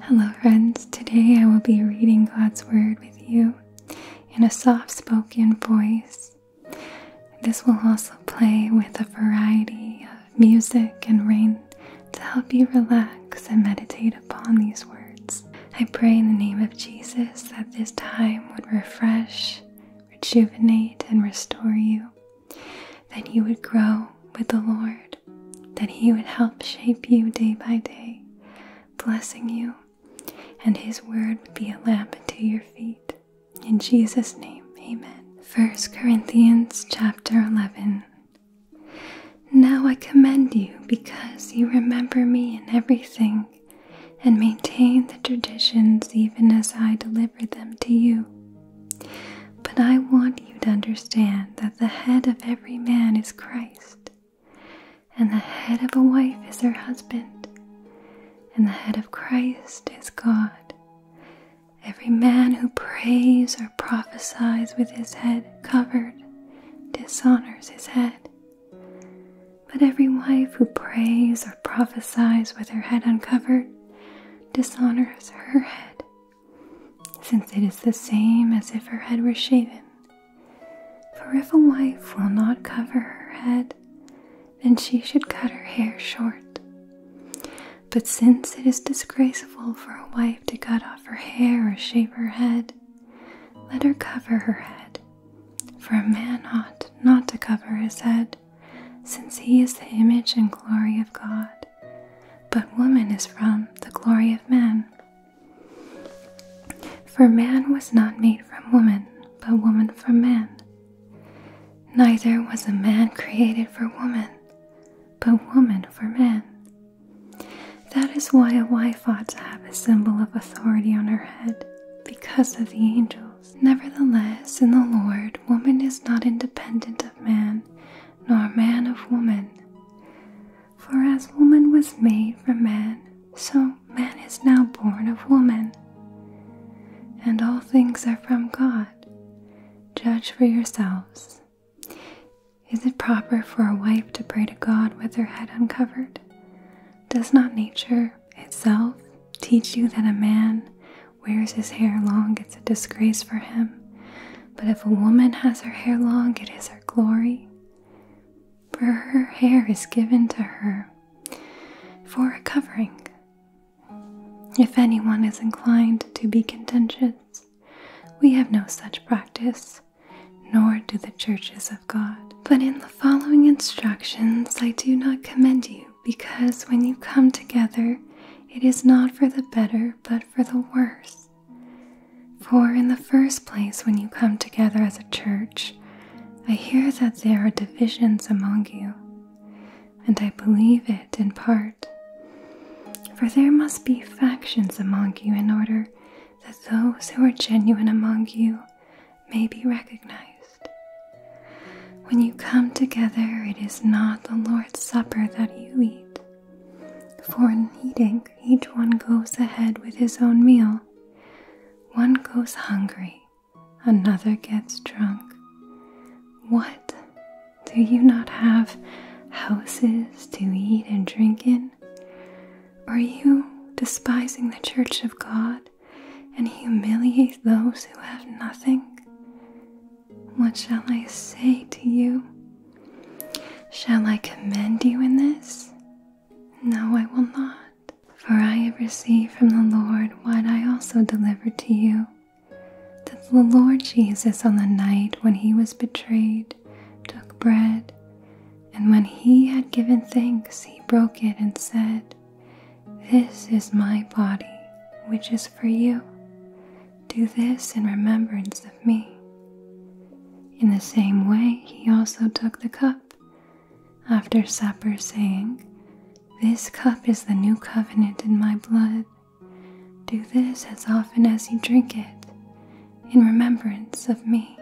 Hello, friends. Today I will be reading God's Word with you in a soft spoken voice. This will also play with a variety of music and rain to help you relax and meditate upon these words. I pray in the name of Jesus that this time would refresh, rejuvenate, and restore you that he would grow with the Lord, that He would help shape you day by day, blessing you, and His word would be a lamp unto your feet. In Jesus' name, amen. 1 Corinthians chapter 11. Now I commend you because you remember me in everything and maintain the traditions even as I delivered them to you. But I want you to understand that the head of every man is Christ, and the head of a wife is her husband, and the head of Christ is God. Every man who prays or prophesies with his head covered dishonors his head. But every wife who prays or prophesies with her head uncovered dishonors her head, since it is the same as if her head were shaven. For if a wife will not cover her head, then she should cut her hair short. But since it is disgraceful for a wife to cut off her hair or shave her head, let her cover her head. For a man ought not to cover his head, since he is the image and glory of God, but woman is from the glory of man. For man was not made from woman, but woman from man. Neither was a man created for woman, but woman for man. That is why a wife ought to have a symbol of authority on her head, because of the angels. Nevertheless, in the Lord, woman is not independent of man nor man of woman. For as woman was made from man, so man is now born of woman. And all things are from God. Judge for yourselves. Is it proper for a wife to pray to God with her head uncovered? Does not nature itself teach you that a man wears his hair long, it's a disgrace for him. But if a woman has her hair long, it is her glory. For her hair is given to her for a covering. If anyone is inclined to be contentious, we have no such practice, nor do the churches of God. But in the following instructions, I do not commend you because when you come together, it is not for the better, but for the worse. For in the first place, when you come together as a church, I hear that there are divisions among you, and I believe it in part. For there must be factions among you in order that those who are genuine among you may be recognized. When you come together, it is not the Lord's Supper that you eat. For in eating, each one goes ahead with his own meal. One goes hungry, another gets drunk. What? Do you not have houses to eat and drink in? Are you despising the church of God and humiliate those who have nothing? What shall I say to you? Shall I commend you in this? No, I will not. For I have received from the Lord what I also delivered to you that the Lord Jesus, on the night when he was betrayed, took bread, and when he had given thanks, he broke it and said, This is my body, which is for you. Do this in remembrance of me. In the same way, he also took the cup after supper, saying, This cup is the new covenant in my blood. Do this as often as you drink it in remembrance of me.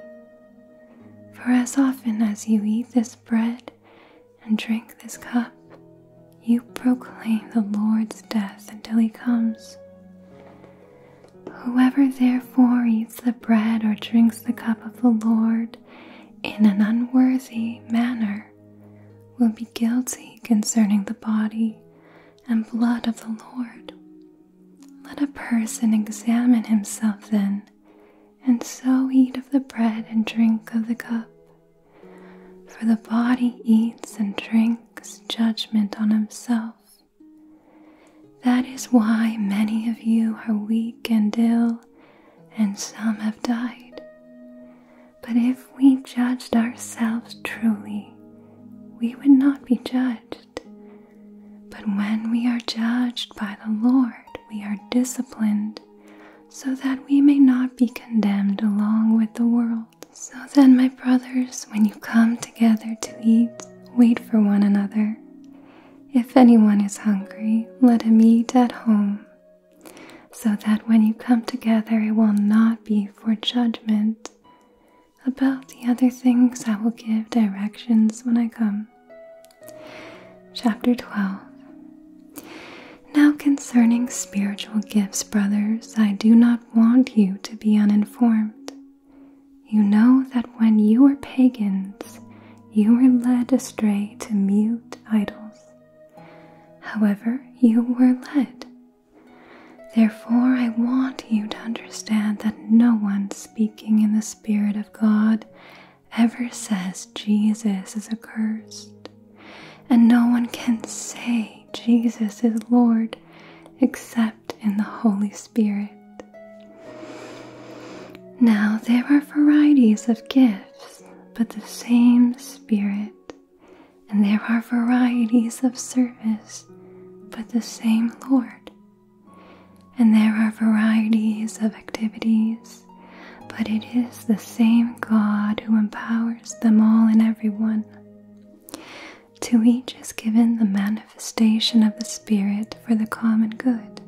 For as often as you eat this bread and drink this cup, you proclaim the Lord's death until he comes. Whoever therefore eats the bread or drinks the cup of the Lord in an unworthy manner will be guilty concerning the body and blood of the Lord. Let a person examine himself then, and so eat of the bread and drink of the cup. For the body eats and drinks judgment on himself. That is why many of you are weak and ill, and some have died. But if we judged ourselves truly, we would not be judged. But when we are judged by the Lord, we are disciplined so that we may not be condemned along with the world. So then, my brothers, when you come together to eat, wait for one another. If anyone is hungry, let him eat at home, so that when you come together, it will not be for judgment. About the other things, I will give directions when I come. Chapter 12 now, concerning spiritual gifts, brothers, I do not want you to be uninformed. You know that when you were pagans, you were led astray to mute idols. However, you were led. Therefore, I want you to understand that no one speaking in the Spirit of God ever says Jesus is accursed. And no one can say Jesus is Lord except in the Holy Spirit. Now there are varieties of gifts, but the same Spirit. And there are varieties of service, but the same Lord. And there are varieties of activities, but it is the same God who empowers them all and everyone. To each is given the manifestation of the Spirit for the common good.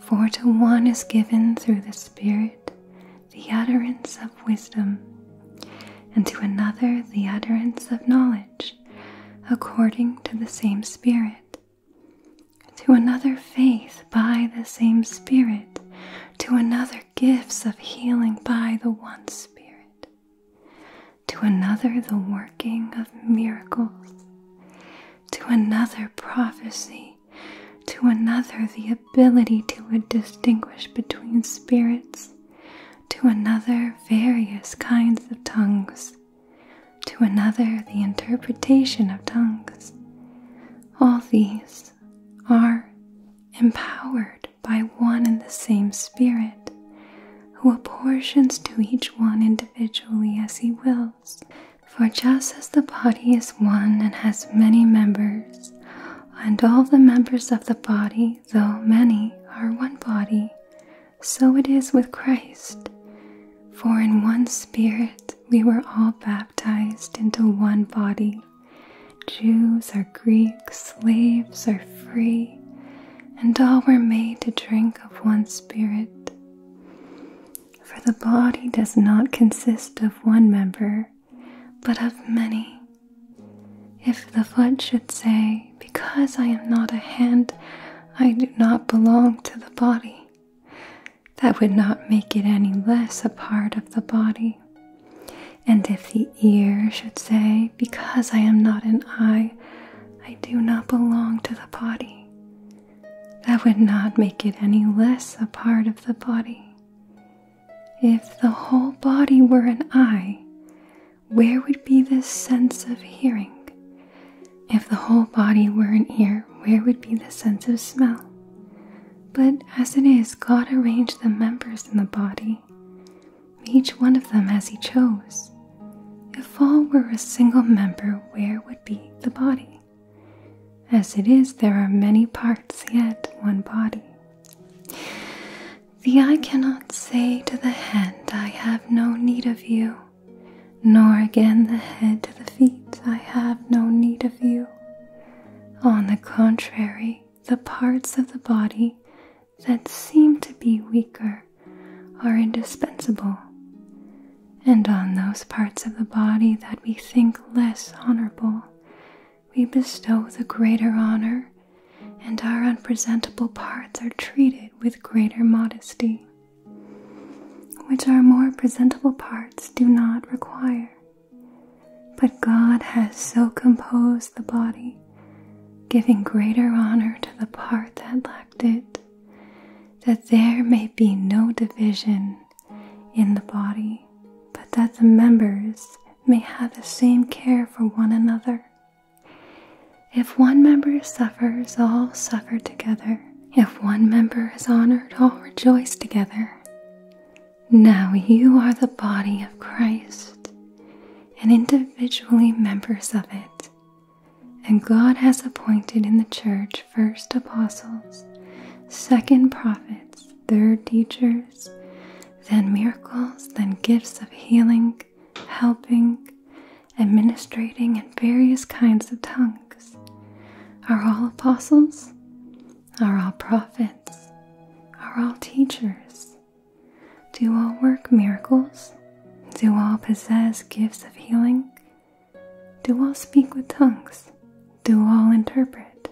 For to one is given through the Spirit the utterance of wisdom, and to another the utterance of knowledge, according to the same Spirit. To another, faith by the same Spirit, to another, gifts of healing by the one Spirit, to another, the working of miracles, to another, prophecy, to another, the ability to distinguish between spirits, to another, various kinds of tongues, to another, the interpretation of tongues. All these are empowered by one and the same Spirit, who apportions to each one individually as he wills. For just as the body is one and has many members, and all the members of the body, though many, are one body, so it is with Christ. For in one Spirit we were all baptized into one body, Jews are Greeks, slaves are free, and all were made to drink of one spirit. For the body does not consist of one member, but of many. If the foot should say, Because I am not a hand, I do not belong to the body, that would not make it any less a part of the body. And if the ear should say, Because I am not an eye, I do not belong to the body, that would not make it any less a part of the body. If the whole body were an eye, where would be the sense of hearing? If the whole body were an ear, where would be the sense of smell? But as it is, God arranged the members in the body each one of them as he chose. If all were a single member, where would be the body? As it is, there are many parts, yet one body. The eye cannot say to the hand, I have no need of you, nor again the head to the feet, I have no need of you. On the contrary, the parts of the body that seem to be weaker are indispensable, and on those parts of the body that we think less honorable, we bestow the greater honor, and our unpresentable parts are treated with greater modesty, which our more presentable parts do not require. But God has so composed the body, giving greater honor to the part that lacked it, that there may be no division in the body, but that the members may have the same care for one another. If one member suffers, all suffer together. If one member is honored, all rejoice together. Now you are the body of Christ and individually members of it. And God has appointed in the church first apostles, second prophets, third teachers, then miracles, then gifts of healing, helping, administrating, and various kinds of tongues. Are all apostles? Are all prophets? Are all teachers? Do all work miracles? Do all possess gifts of healing? Do all speak with tongues? Do all interpret?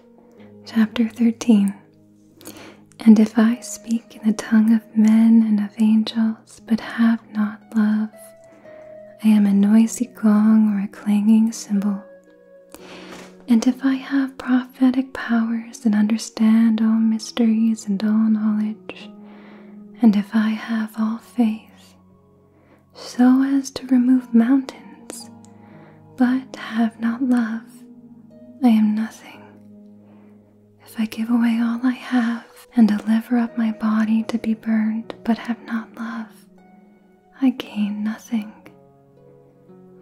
Chapter 13 And if I speak in the tongue of men and of angels, but have not love, I am a noisy gong or a clanging cymbal. And if I have prophetic powers powers, and understand all mysteries and all knowledge, and if I have all faith, so as to remove mountains, but have not love, I am nothing. If I give away all I have, and deliver up my body to be burned, but have not love, I gain nothing.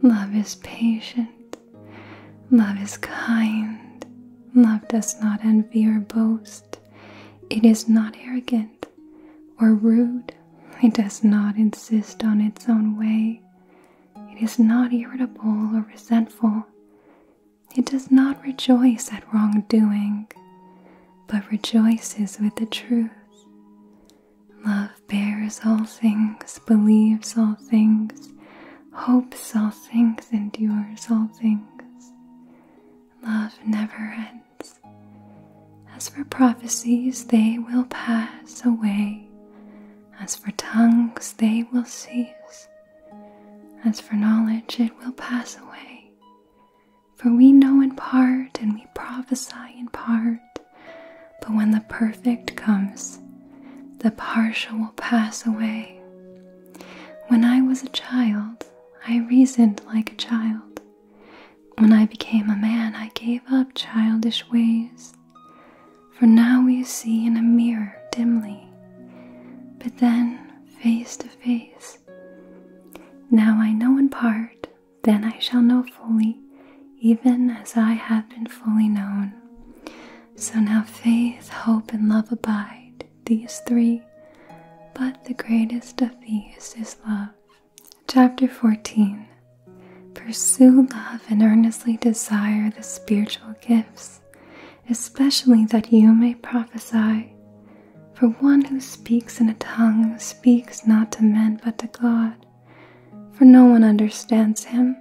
Love is patient. Love is kind. Love does not envy or boast. It is not arrogant or rude. It does not insist on its own way. It is not irritable or resentful. It does not rejoice at wrongdoing, but rejoices with the truth. Love bears all things believes all things, hopes all things, endures all things. Love never ends. As for prophecies, they will pass away. As for tongues, they will cease. As for knowledge, it will pass away. For we know in part and we prophesy in part, but when the perfect comes, the partial will pass away. When I was a child, I reasoned like a child. When I became a man, I gave up childish ways. For now we see in a mirror dimly, but then face to face. Now I know in part, then I shall know fully, even as I have been fully known. So now faith, hope, and love abide, these three, but the greatest of these is love. Chapter 14 Pursue love and earnestly desire the spiritual gifts, especially that you may prophesy. For one who speaks in a tongue speaks not to men but to God, for no one understands him,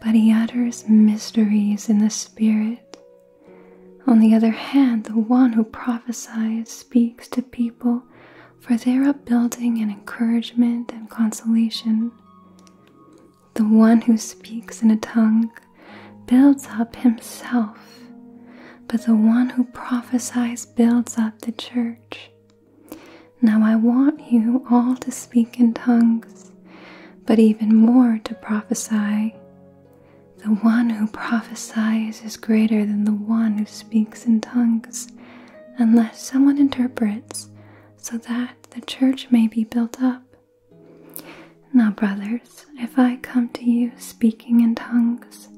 but he utters mysteries in the spirit. On the other hand, the one who prophesies speaks to people for their upbuilding and encouragement and consolation. The one who speaks in a tongue builds up himself, but the one who prophesies builds up the church. Now I want you all to speak in tongues but even more to prophesy. The one who prophesies is greater than the one who speaks in tongues, unless someone interprets, so that the church may be built up. Now, brothers, if I come to you speaking in tongues,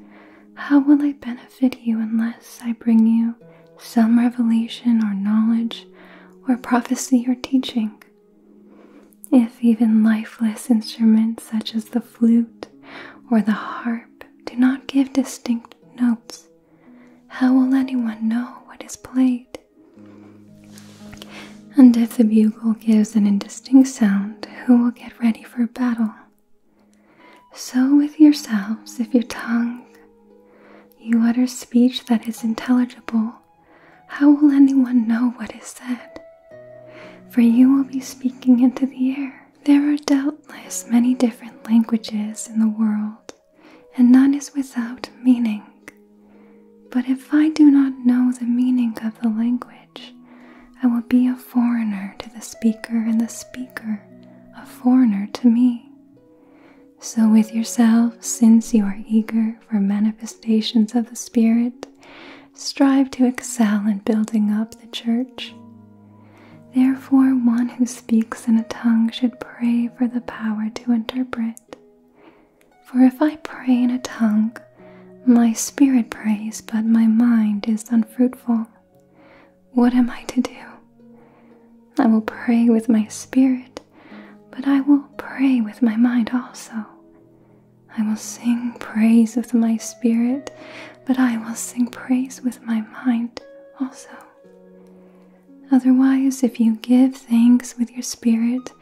how will I benefit you unless I bring you some revelation or knowledge or prophecy or teaching. If even lifeless instruments such as the flute or the harp do not give distinct notes, how will anyone know what is played? And if the bugle gives an indistinct sound, who will get ready for battle? So with yourselves, if your tongue you utter speech that is intelligible, how will anyone know what is said? For you will be speaking into the air. There are doubtless many different languages in the world, and none is without meaning. But if I do not know the meaning of the language, I will be a foreigner to the speaker, and the speaker a foreigner to me. So, with yourself, since you are eager for manifestations of the Spirit, strive to excel in building up the church. Therefore, one who speaks in a tongue should pray for the power to interpret. For if I pray in a tongue, my spirit prays, but my mind is unfruitful. What am I to do? I will pray with my spirit, but I will pray with my mind also. I will sing praise with my spirit, but I will sing praise with my mind also. Otherwise, if you give thanks with your spirit,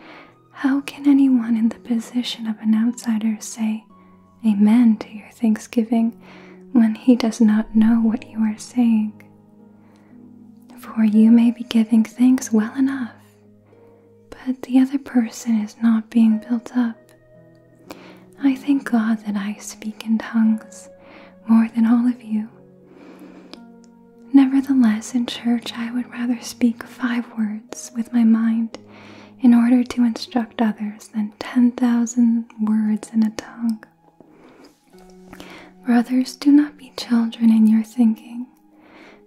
how can anyone in the position of an outsider say amen to your thanksgiving when he does not know what you are saying? For you may be giving thanks well enough, but the other person is not being built up. I thank God that I speak in tongues more than all of you. Nevertheless, in church, I would rather speak five words with my mind in order to instruct others than 10,000 words in a tongue. Brothers, do not be children in your thinking.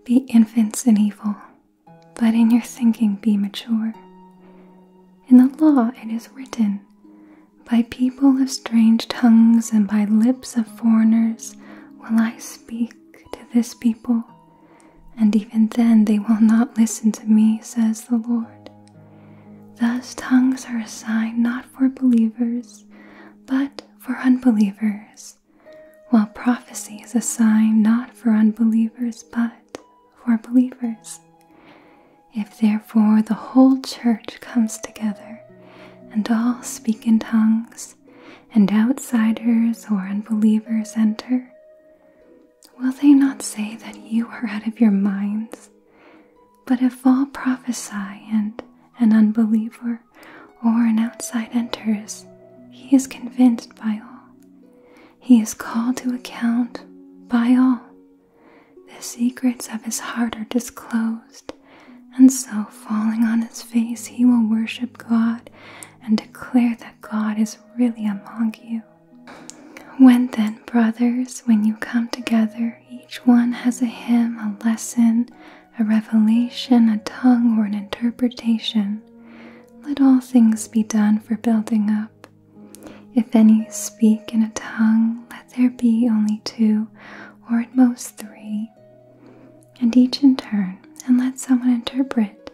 Be infants in evil, but in your thinking be mature. In the law it is written, By people of strange tongues and by lips of foreigners will I speak to this people, and even then they will not listen to me, says the Lord. Thus tongues are assigned not for believers, but for unbelievers while prophecy is a sign not for unbelievers but for believers. If therefore the whole church comes together and all speak in tongues, and outsiders or unbelievers enter, will they not say that you are out of your minds? But if all prophesy and an unbeliever, or an outside enters, he is convinced by all. He is called to account by all. The secrets of his heart are disclosed, and so, falling on his face, he will worship God and declare that God is really among you. When then, brothers, when you come together, each one has a hymn, a lesson, a revelation, a tongue, or an interpretation, let all things be done for building up. If any speak in a tongue, let there be only two, or at most three, and each in turn, and let someone interpret.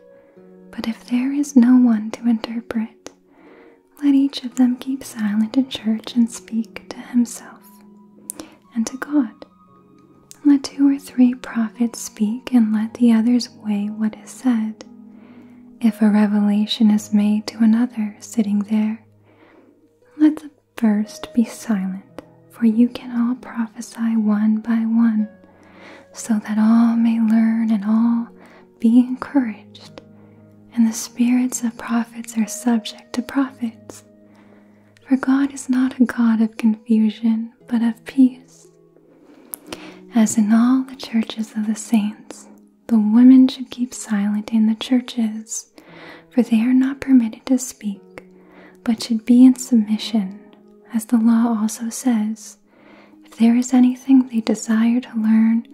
But if there is no one to interpret, let each of them keep silent in church and speak to himself and to God. Let two or three prophets speak, and let the others weigh what is said. If a revelation is made to another sitting there, let the first be silent, for you can all prophesy one by one, so that all may learn and all be encouraged. And the spirits of prophets are subject to prophets. For God is not a God of confusion, but of peace. As in all the churches of the saints, the women should keep silent in the churches, for they are not permitted to speak, but should be in submission, as the law also says. If there is anything they desire to learn,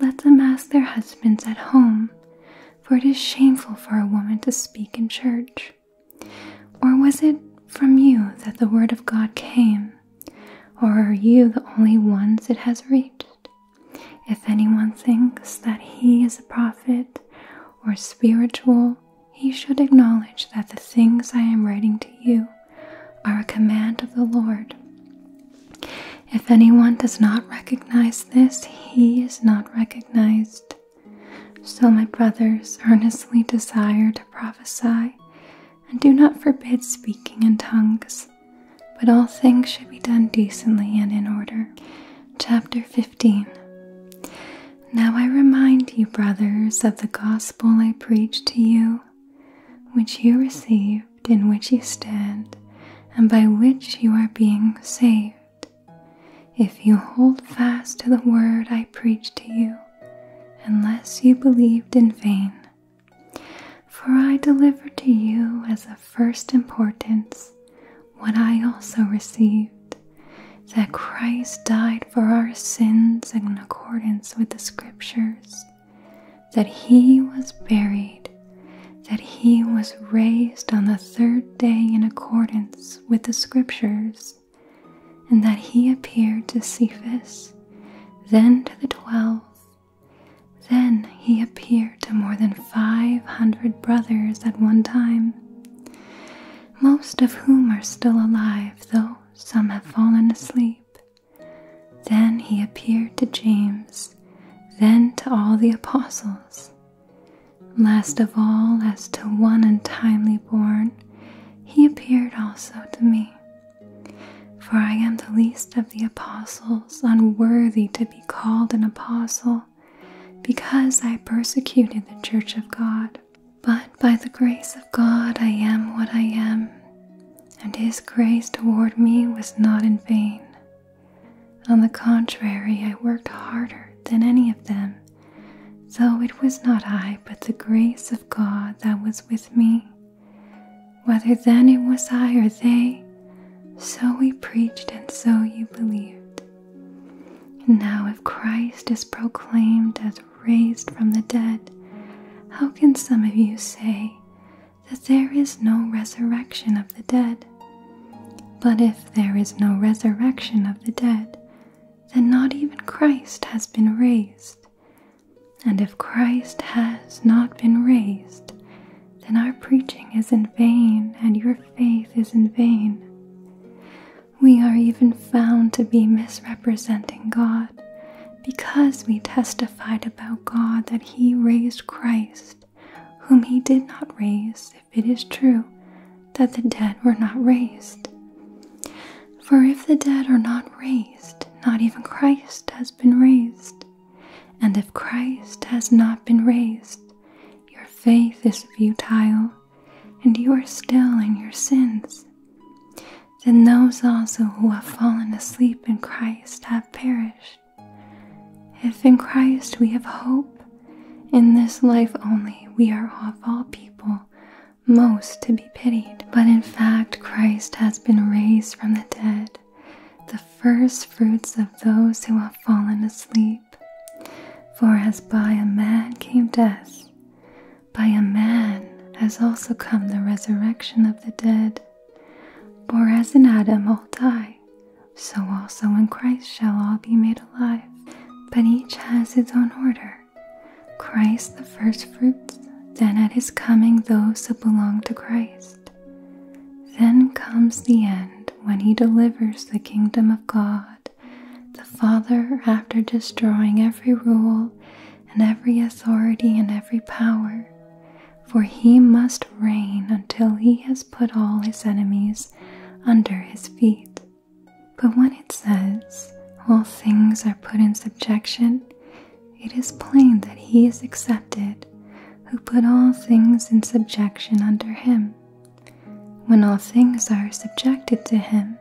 let them ask their husbands at home, for it is shameful for a woman to speak in church. Or was it from you that the Word of God came? Or are you the only ones it has reached? If anyone thinks that he is a prophet or spiritual, he should acknowledge that the things I am writing to you are a command of the Lord. If anyone does not recognize this, he is not recognized so, my brothers, earnestly desire to prophesy, and do not forbid speaking in tongues, but all things should be done decently and in order. Chapter 15 Now I remind you, brothers, of the gospel I preached to you, which you received, in which you stand, and by which you are being saved if you hold fast to the word I preach to you, unless you believed in vain. For I delivered to you as of first importance what I also received that Christ died for our sins in accordance with the Scriptures, that he was buried, that he was raised on the third day in accordance with the Scriptures and that he appeared to Cephas, then to the twelve. Then he appeared to more than five hundred brothers at one time, most of whom are still alive, though some have fallen asleep. Then he appeared to James, then to all the apostles. Last of all, as to one untimely born, he appeared also to me. For I am the least of the apostles, unworthy to be called an apostle, because I persecuted the church of God. But by the grace of God I am what I am, and his grace toward me was not in vain. On the contrary, I worked harder than any of them Though it was not I, but the grace of God that was with me. Whether then it was I or they, so we preached and so you believed. now, if Christ is proclaimed as raised from the dead, how can some of you say that there is no resurrection of the dead? But if there is no resurrection of the dead, then not even Christ has been raised. And if Christ has not been raised, then our preaching is in vain and your faith is in vain. We are even found to be misrepresenting God because we testified about God that He raised Christ, whom He did not raise, if it is true that the dead were not raised. For if the dead are not raised, not even Christ has been raised. And if Christ has not been raised, your faith is futile, and you are still in your sins. Then those also who have fallen asleep in Christ have perished. If in Christ we have hope, in this life only we are of all people most to be pitied. But in fact, Christ has been raised from the dead, the first fruits of those who have fallen asleep. For as by a man came death, by a man has also come the resurrection of the dead. For as in Adam all die, so also in Christ shall all be made alive. But each has its own order. Christ the firstfruits, then at his coming those who belong to Christ. Then comes the end when he delivers the kingdom of God, the Father, after destroying every rule and every authority and every power. For he must reign until he has put all his enemies under his feet. But when it says, All things are put in subjection, it is plain that he is accepted who put all things in subjection under him. When all things are subjected to him,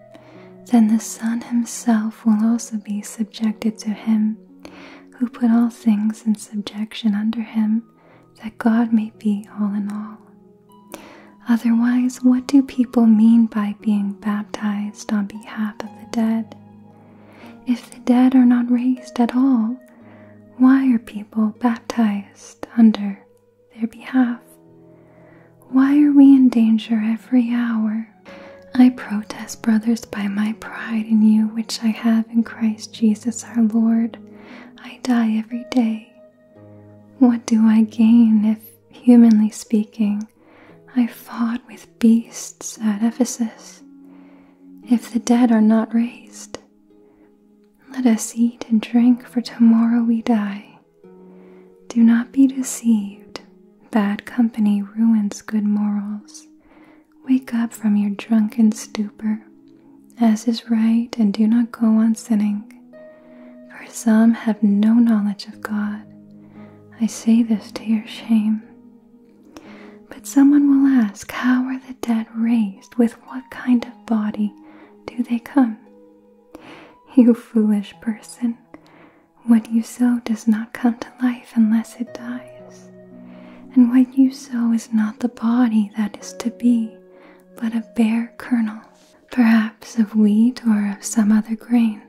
then the Son himself will also be subjected to him who put all things in subjection under him, that God may be all in all. Otherwise, what do people mean by being baptized on behalf of the dead? If the dead are not raised at all, why are people baptized under their behalf? Why are we in danger every hour? I protest, brothers, by my pride in you, which I have in Christ Jesus our Lord. I die every day. What do I gain if humanly speaking, I fought with beasts at Ephesus. If the dead are not raised, let us eat and drink, for tomorrow we die. Do not be deceived. Bad company ruins good morals. Wake up from your drunken stupor, as is right, and do not go on sinning, for some have no knowledge of God. I say this to your shame. But someone will ask, How are the dead raised? With what kind of body do they come? You foolish person, what you sow does not come to life unless it dies. And what you sow is not the body that is to be, but a bare kernel perhaps of wheat or of some other grain.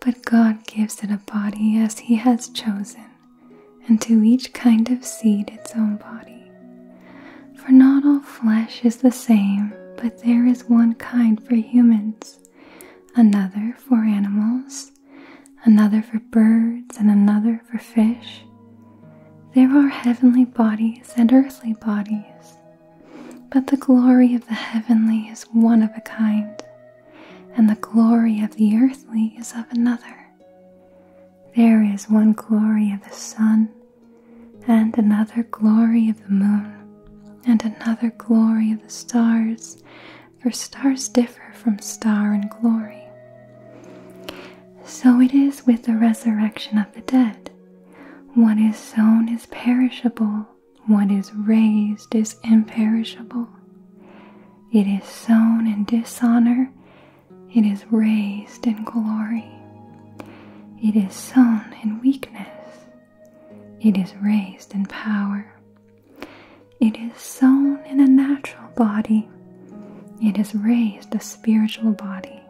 But God gives it a body as He has chosen, and to each kind of seed its own body. For not all flesh is the same, but there is one kind for humans, another for animals, another for birds, and another for fish. There are heavenly bodies and earthly bodies, but the glory of the heavenly is one of a kind, and the glory of the earthly is of another. There is one glory of the sun, and another glory of the moon, and another glory of the stars, for stars differ from star in glory. So it is with the resurrection of the dead. What is sown is perishable, what is raised is imperishable. It is sown in dishonor, it is raised in glory. It is sown in weakness, it is raised in power. It is sown in a natural body, it is raised a spiritual body.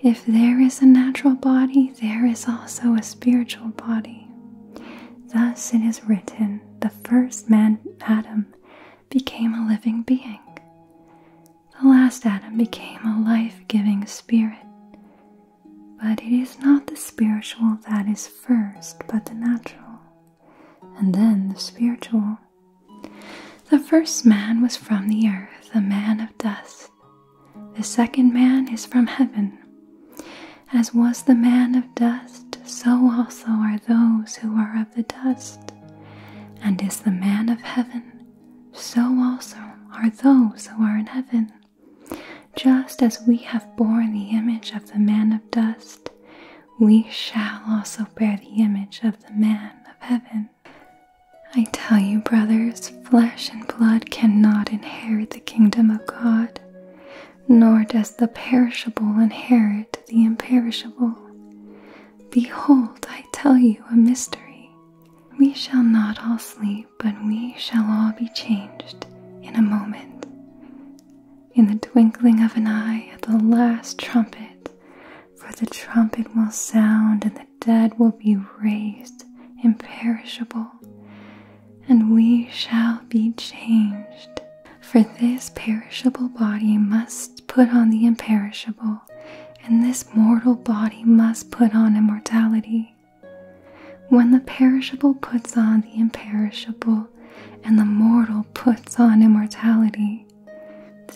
If there is a natural body, there is also a spiritual body. Thus it is written, the first man, Adam, became a living being. The last Adam became a life giving spirit. But it is not the spiritual that is first, but the natural, and then the spiritual. The first man was from the earth, a man of dust. The second man is from heaven. As was the man of dust, so also are those who are of the dust. And is the man of heaven, so also are those who are in heaven. Just as we have borne the image of the man of dust, we shall also bear the image of the man of heaven. I tell you, brothers, flesh and blood cannot inherit the kingdom of God, nor does the perishable inherit the imperishable. Behold, I tell you a mystery. We shall not all sleep, but we shall all be changed in a moment. In the twinkling of an eye, at the last trumpet, for the trumpet will sound, and the dead will be raised imperishable, and we shall be changed. For this perishable body must put on the imperishable, and this mortal body must put on immortality. When the perishable puts on the imperishable, and the mortal puts on immortality,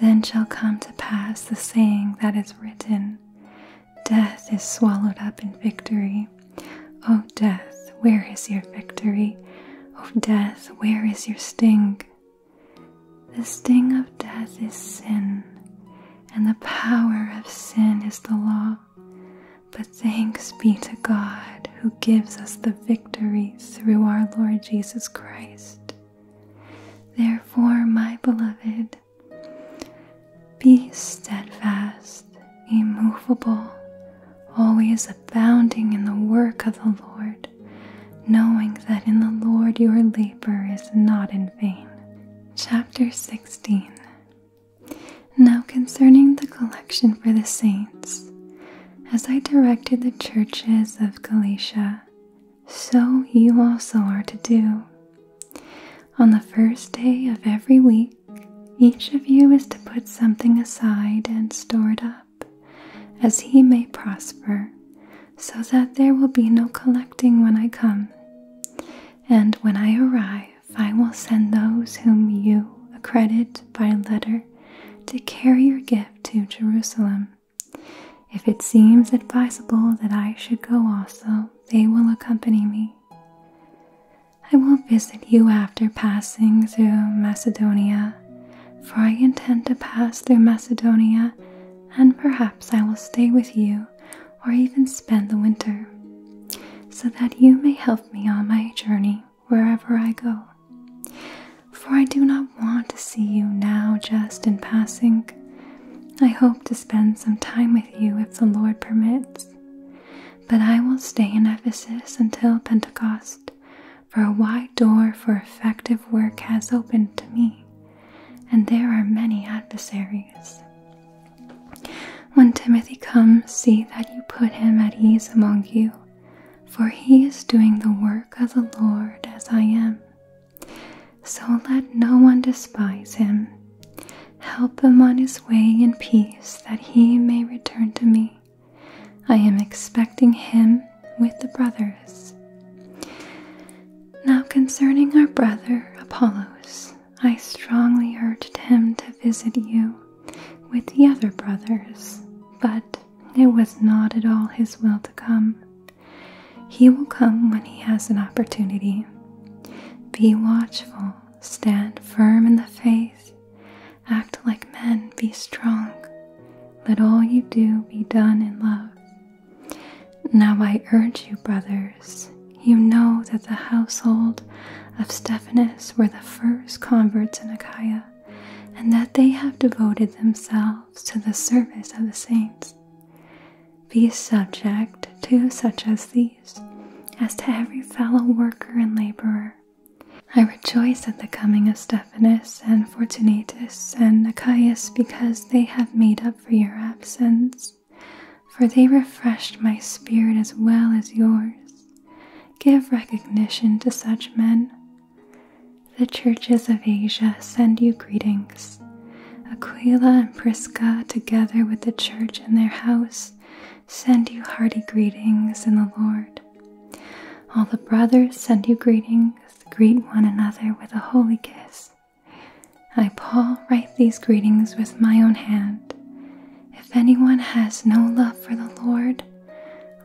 then shall come to pass the saying that is written Death is swallowed up in victory. O oh, death, where is your victory? O oh, death, where is your sting? The sting of death is sin, and the power of sin is the law. But thanks be to God who gives us the victory through our Lord Jesus Christ. Therefore, my beloved, be steadfast, immovable, always abounding in the work of the Lord, knowing that in the Lord your labor is not in vain. Chapter 16 Now concerning the collection for the saints, as I directed the churches of Galatia, so you also are to do. On the first day of every week, each of you is to put something aside and store it up, as he may prosper, so that there will be no collecting when I come. And when I arrive, I will send those whom you accredit by letter to carry your gift to Jerusalem. If it seems advisable that I should go also, they will accompany me. I will visit you after passing through Macedonia, for I intend to pass through Macedonia, and perhaps I will stay with you or even spend the winter, so that you may help me on my journey wherever I go. For I do not want to see you now just in passing. I hope to spend some time with you if the Lord permits. But I will stay in Ephesus until Pentecost, for a wide door for effective work has opened to me, and there are many adversaries. When Timothy comes, see that you put him at ease among you, for he is doing the work of the Lord as I am. So let no one despise him, Help him on his way in peace that he may return to me. I am expecting him with the brothers. Now, concerning our brother Apollos, I strongly urged him to visit you with the other brothers, but it was not at all his will to come. He will come when he has an opportunity. Be watchful Stand firm in the faith, act like men, be strong. Let all you do be done in love. Now I urge you, brothers, you know that the household of Stephanus were the first converts in Achaia, and that they have devoted themselves to the service of the saints. Be subject to such as these as to every fellow worker and laborer. I rejoice at the coming of Stephanus and Fortunatus and Achaeus because they have made up for your absence, for they refreshed my spirit as well as yours. Give recognition to such men. The churches of Asia send you greetings. Aquila and Prisca, together with the church in their house, send you hearty greetings in the Lord. All the brothers send you greetings. Greet one another with a holy kiss. I, Paul, write these greetings with my own hand. If anyone has no love for the Lord,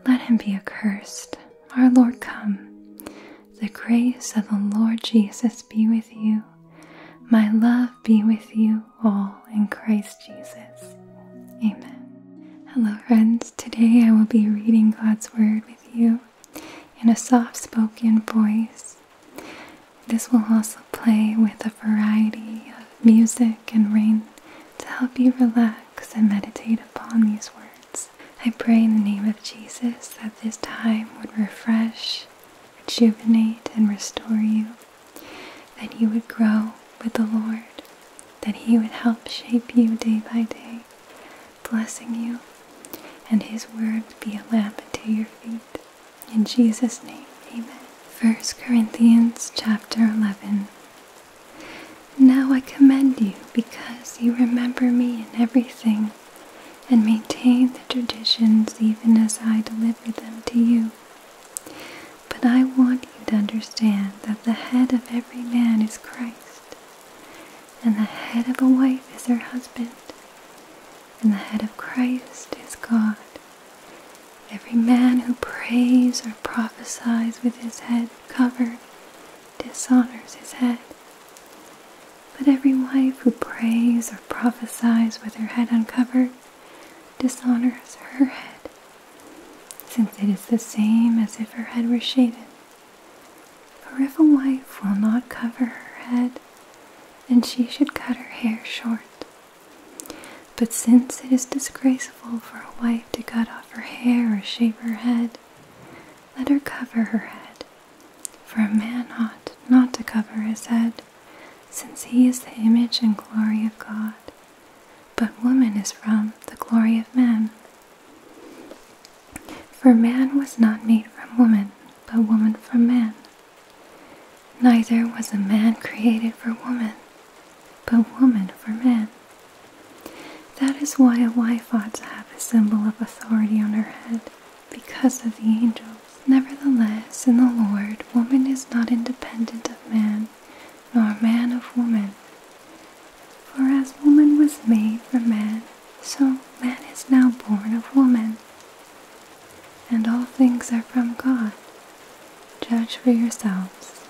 let him be accursed. Our Lord, come. The grace of the Lord Jesus be with you. My love be with you all in Christ Jesus. Amen. Hello, friends. Today I will be reading God's Word with you in a soft spoken voice. This will also play with a variety of music and rain to help you relax and meditate upon these words. I pray in the name of Jesus that this time would refresh, rejuvenate, and restore you that you would grow with the Lord, that He would help shape you day by day, blessing you, and His word be a lamp unto your feet. In Jesus' name, amen. 1 Corinthians chapter 11. Now I commend you because you remember me in everything and maintain the traditions even as I delivered them to you. But I want you to understand that the head of every man is Christ, and the head of a wife is her husband, and the head of Christ is God. Every man who prays or prophesies with his head covered dishonors his head. But every wife who prays or prophesies with her head uncovered dishonors her head, since it is the same as if her head were shaven. For if a wife will not cover her head, then she should cut her hair short. But since it is disgraceful for a wife to cut off her hair or shave her head, let her cover her head. For a man ought not to cover his head, since he is the image and glory of God, but woman is from the glory of man. For man was not made from woman, but woman from man. Neither was a man created for woman, but woman for man. That is why a wife ought to have a symbol of authority on her head, because of the angel. Nevertheless, in the Lord, woman is not independent of man, nor man of woman. For as woman was made from man, so man is now born of woman. And all things are from God. Judge for yourselves.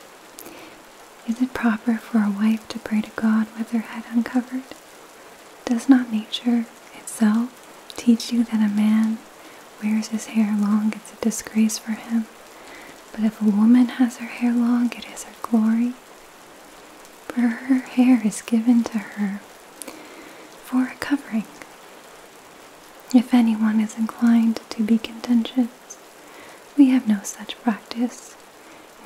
Is it proper for a wife to pray to God with her head uncovered? Does not nature itself teach you that a man wears his hair long, it's a disgrace for him. But if a woman has her hair long, it is her glory. For her hair is given to her for a covering. If anyone is inclined to be contentious, we have no such practice,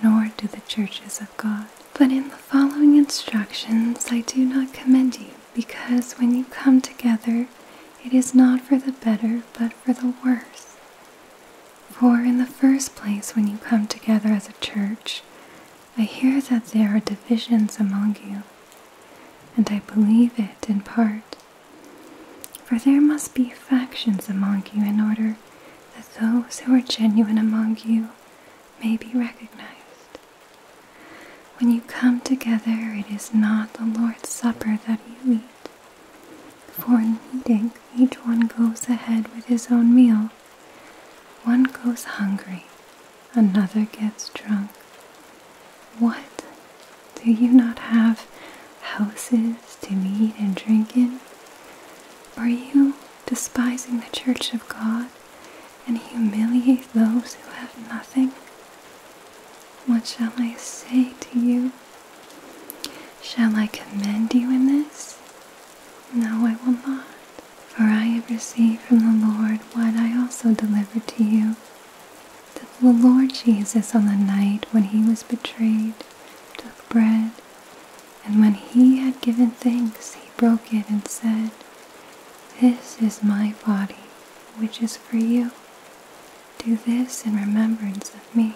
nor do the churches of God. But in the following instructions, I do not commend you because when you come together, it is not for the better, but for the worse. For in the first place, when you come together as a church, I hear that there are divisions among you, and I believe it in part. For there must be factions among you in order that those who are genuine among you may be recognized. When you come together, it is not the Lord's Supper that you eat. For in eating, each one goes ahead with his own meal. One goes hungry, another gets drunk. What? Do you not have houses to meet and drink in? Are you despising the church of God and humiliate those who have nothing? What shall I say to you? Shall I commend you in this? No, I will not. For I have received from the Lord what I also delivered to you. That the Lord Jesus, on the night when he was betrayed, took bread, and when he had given thanks, he broke it and said, This is my body, which is for you. Do this in remembrance of me.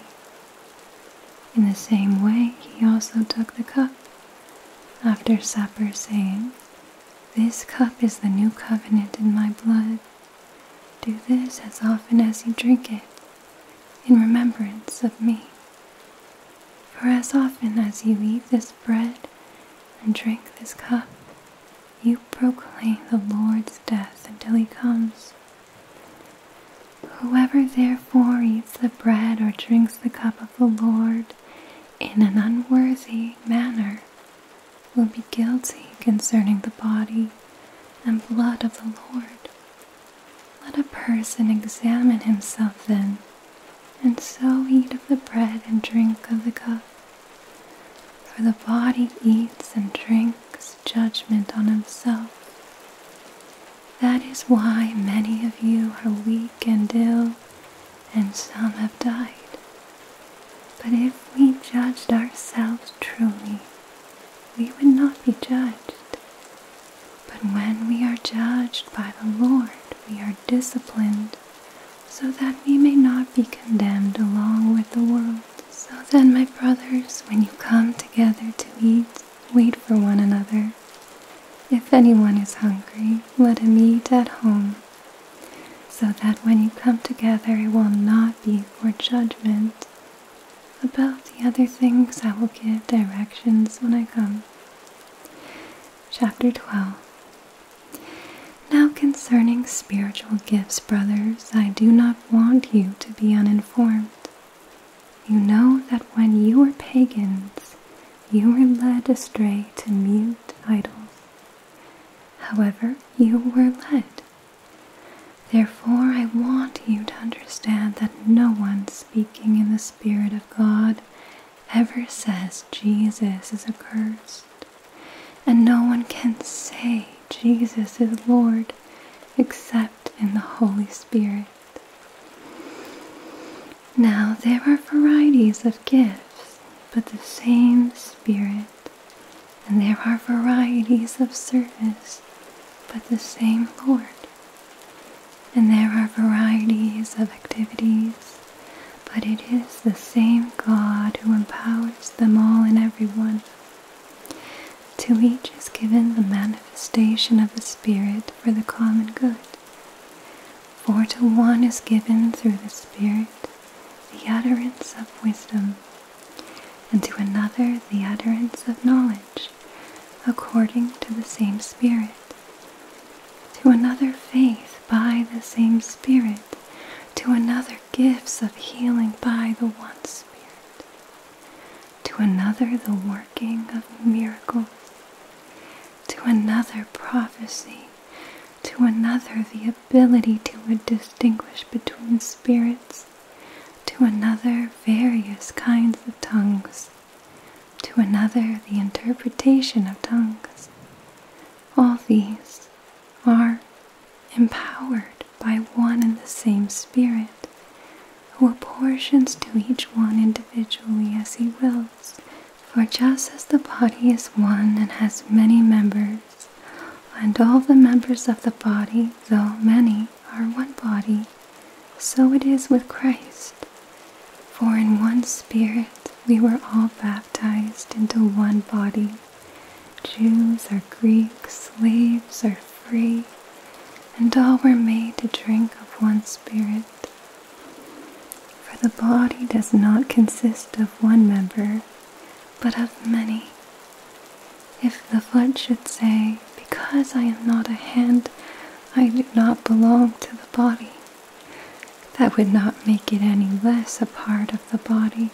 In the same way, he also took the cup after supper, saying, This cup is the new covenant in my blood. Do this as often as you drink it, in remembrance of me. For as often as you eat this bread and drink this cup, you proclaim the Lord's death until he comes. Whoever therefore eats the bread or drinks the cup of the Lord in an unworthy manner will be guilty concerning the body and blood of the Lord. Let a person examine himself then, and so eat of the bread and drink of the cup. For the body eats and drinks judgment on himself. That is why many of you are weak and ill, and some have died. But if we judged ourselves truly, we would not be judged. But when we are judged by the Lord, we are disciplined so that we may not be condemned along with the world. So then, my brothers, when you come together to eat, wait for one another. If anyone is hungry, let him eat at home, so that when you come together, it will not be for judgment. About the other things, I will give directions when I come. Chapter 12 now, concerning spiritual gifts, brothers, I do not want you to be uninformed. You know that when you were pagans, you were led astray to mute idols. However, you were led. Therefore, I want you to understand that no one speaking in the Spirit of God ever says Jesus is accursed. And no one can say Jesus is Lord except in the Holy Spirit. Now there are varieties of gifts, but the same Spirit. And there are varieties of service, but the same Lord. And there are varieties of activities, but it is the same God who empowers them all and everyone. To each is given the manifestation of the Spirit for the common good. For to one is given through the Spirit the utterance of wisdom, and to another the utterance of knowledge, according to the same Spirit. To another faith by the same Spirit, to another gifts of healing by the one Spirit, to another, the working of miracles, to another, prophecy, to another, the ability to distinguish between spirits, to another, various kinds of tongues, to another, the interpretation of tongues. All these are empowered by one and the same Spirit, who apportions to each one individually as He wills. For just as the body is one and has many members, and all the members of the body, though many, are one body, so it is with Christ. For in one Spirit we were all baptized into one body, Jews are Greeks, slaves are free, and all were made to drink of one Spirit. For the body does not consist of one member, but of many. If the foot should say, Because I am not a hand, I do not belong to the body, that would not make it any less a part of the body.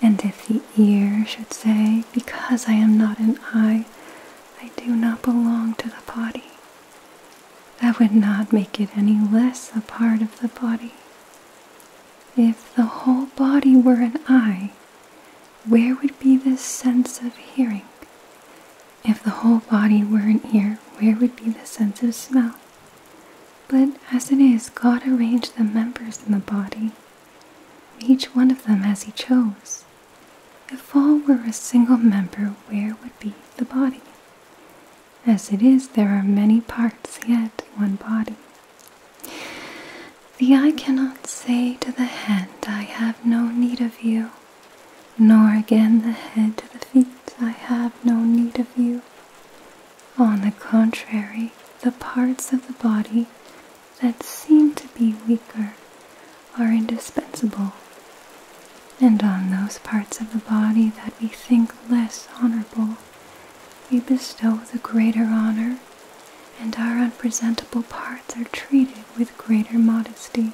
And if the ear should say, Because I am not an eye, I do not belong to the body, that would not make it any less a part of the body. If the whole body were an eye, where would be the sense of hearing? If the whole body were an ear, where would be the sense of smell? But as it is, God arranged the members in the body each one of them as he chose. If all were a single member, where would be the body? As it is, there are many parts, yet one body. The eye cannot say to the hand, I have no need of you, nor again the head to the feet, I have no need of you. On the contrary, the parts of the body that seem to be weaker are indispensable, and on those parts of the body that we think less honorable, we bestow the greater honor, and our unpresentable parts are treated with greater modesty,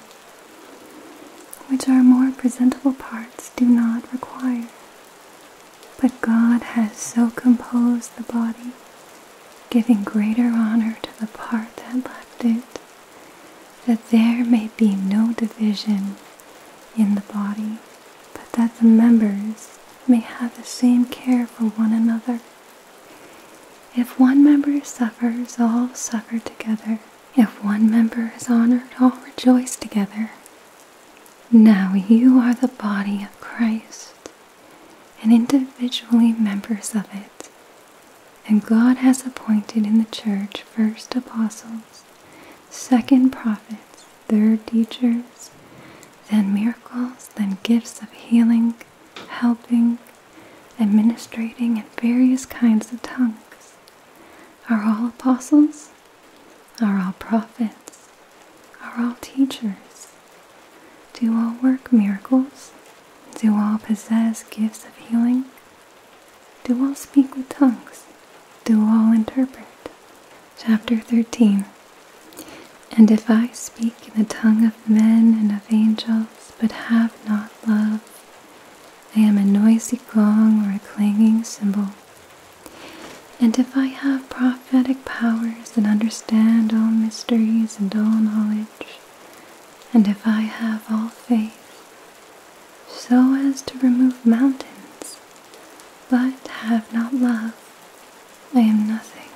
which our more presentable parts do not require. But God has so composed the body, giving greater honor to the part that left it, that there may be no division in the body, but that the members may have the same care for one another. If one member suffers, all suffer together. If one member is honored, all rejoice together. Now you are the body of Christ and individually members of it. And God has appointed in the church first apostles, second prophets, third teachers, then miracles, then gifts of healing, helping, administrating, and various kinds of tongues. Are all apostles? Are all prophets? Are all teachers? Do all work miracles? Do all possess gifts of healing? Do all speak with tongues? Do all interpret? Chapter 13 And if I speak in the tongue of men and of angels, but have not love, I am a noisy gong or a clanging cymbal. And if I have prophetic powers and understand all mysteries and all knowledge, and if I have all faith, so as to remove mountains, but have not love, I am nothing.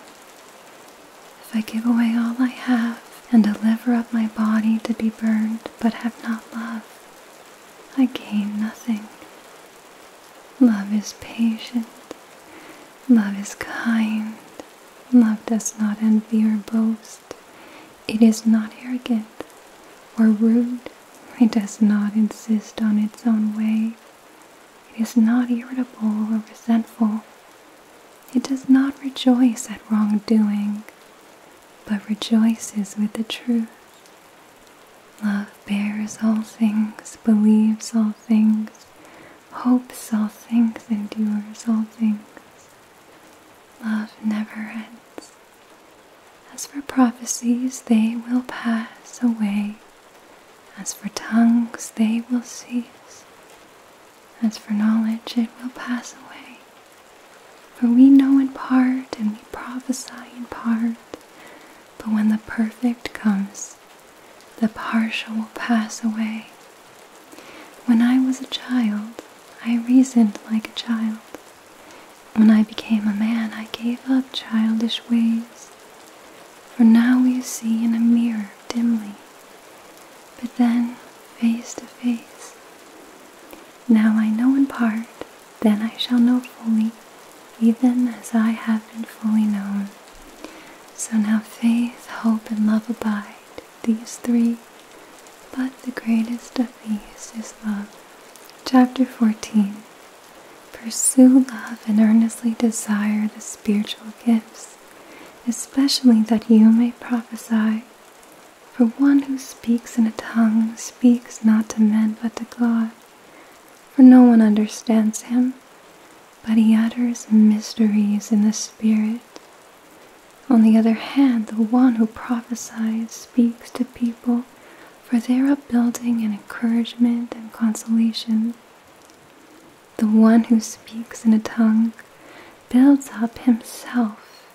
If I give away all I have and deliver up my body to be burned, but have not love, I gain nothing. Love is patient. Love is kind. Love does not envy or boast. It is not arrogant or rude. It does not insist on its own way. It is not irritable or resentful. It does not rejoice at wrongdoing, but rejoices with the truth. Love bears all things, believes all things, Hope's all things, and endures all things. Love never ends. As for prophecies, they will pass away. As for tongues, they will cease. As for knowledge, it will pass away. For we know in part and we prophesy in part. But when the perfect comes, the partial will pass away. When I was a child, I reasoned like a child. When I became a man, I gave up childish ways. For now you see in a mirror dimly, but then face to face. Now I know in part, then I shall know fully, even as I have been fully known. So now faith, hope, and love abide, these three, but the greatest of these is love. Chapter 14 Pursue love and earnestly desire the spiritual gifts, especially that you may prophesy. For one who speaks in a tongue speaks not to men but to God, for no one understands him but he utters mysteries in the spirit. On the other hand, the one who prophesies speaks to people for their upbuilding and encouragement and consolation. The one who speaks in a tongue builds up himself,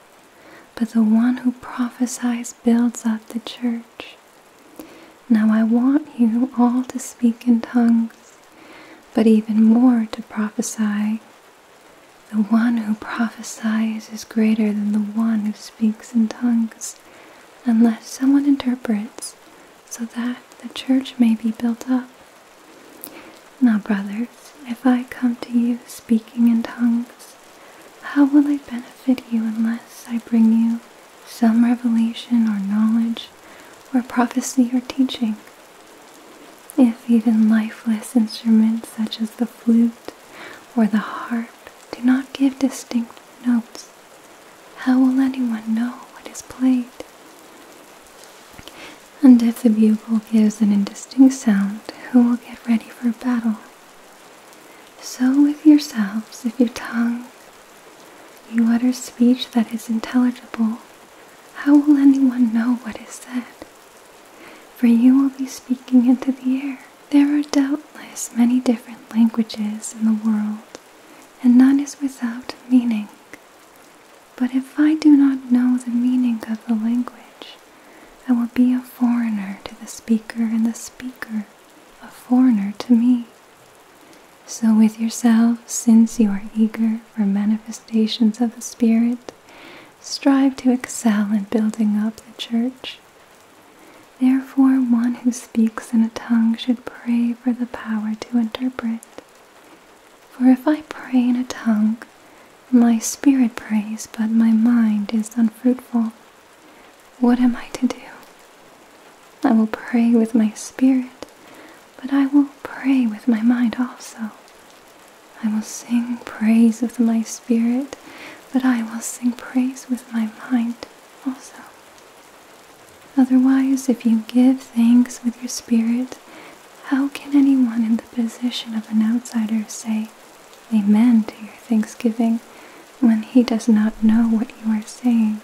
but the one who prophesies builds up the church. Now I want you all to speak in tongues, but even more to prophesy. The one who prophesies is greater than the one who speaks in tongues, unless someone interprets, so that the church may be built up. Now, brothers, if I come to you speaking in tongues, how will I benefit you unless I bring you some revelation or knowledge or prophecy or teaching. If even lifeless instruments such as the flute or the harp do not give distinct notes, how will anyone know what is played? And if the bugle gives an indistinct sound, who will get ready for battle? So with yourselves, if your tongue you utter speech that is intelligible. How will anyone know what is said? For you will be speaking into the air. There are doubtless many different languages in the world, and none is without meaning. But if I do not know the meaning of the language, I will be a foreigner to the speaker and the speaker a foreigner to me. So, with yourself, since you are eager for manifestations of the Spirit, strive to excel in building up the church. Therefore, one who speaks in a tongue should pray for the power to interpret. For if I pray in a tongue, my spirit prays, but my mind is unfruitful. What am I to do? I will pray with my spirit, but I will pray with my mind also. I will sing praise with my spirit, but I will sing praise with my mind also. Otherwise, if you give thanks with your spirit, how can anyone in the position of an outsider say amen to your thanksgiving when he does not know what you are saying?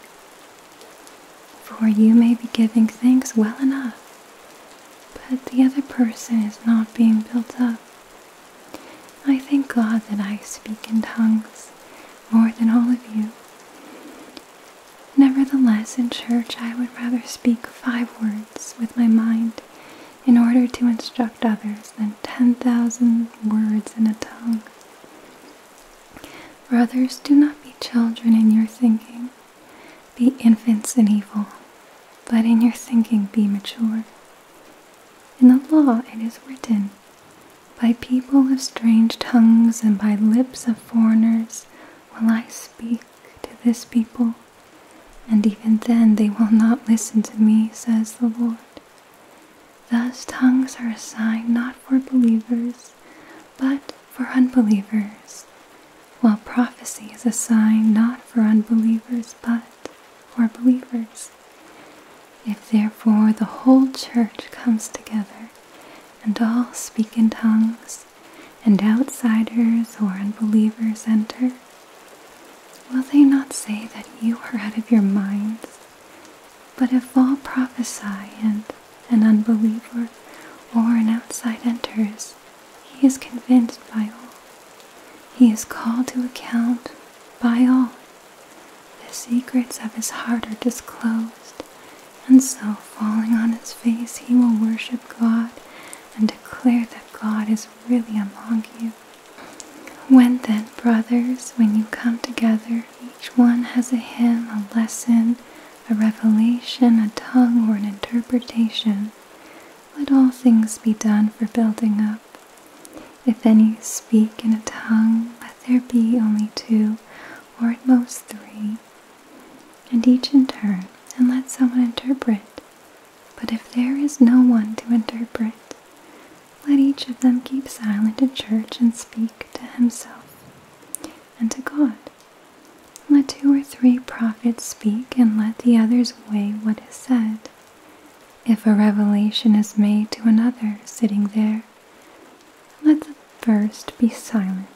For you may be giving thanks well enough, but the other person is not being built up. I thank God that I speak in tongues more than all of you. Nevertheless, in church, I would rather speak five words with my mind in order to instruct others than 10,000 words in a tongue. Brothers, do not be children in your thinking, be infants in evil, but in your thinking be mature. In the law it is written, By people of strange tongues and by lips of foreigners will I speak to this people, and even then they will not listen to me, says the Lord. Thus tongues are a sign not for believers, but for unbelievers, while prophecy is a sign not for unbelievers but for believers. If therefore the whole church comes together and all speak in tongues, and outsiders or unbelievers enter, will they not say that you are out of your minds? But if all prophesy and an unbeliever, or an outside enters, he is convinced by all. He is called to account by all. The secrets of his heart are disclosed, and so, falling on his face, he will worship God and declare that God is really among you. When then, brothers, when you come together, each one has a hymn, a lesson, a revelation, a tongue, or an interpretation, let all things be done for building up. If any speak in a tongue, let there be only two, or at most three, and each in turn, and let someone interpret. But if there is no one to interpret, let each of them keep silent in church and speak to himself and to God. Let two or three prophets speak, and let the others weigh what is said. If a revelation is made to another sitting there, let the first be silent,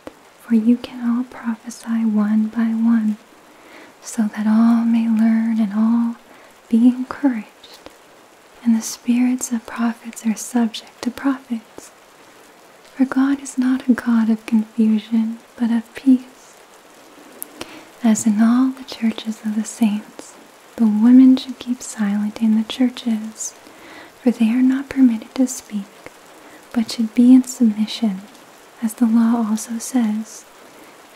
for you can all prophesy one by one, so that all may learn and all be encouraged. And the spirits of prophets are subject to prophets. For God is not a God of confusion, but of peace. As in all the churches of the saints, the women should keep silent in the churches, for they are not permitted to speak, but should be in submission, as the law also says.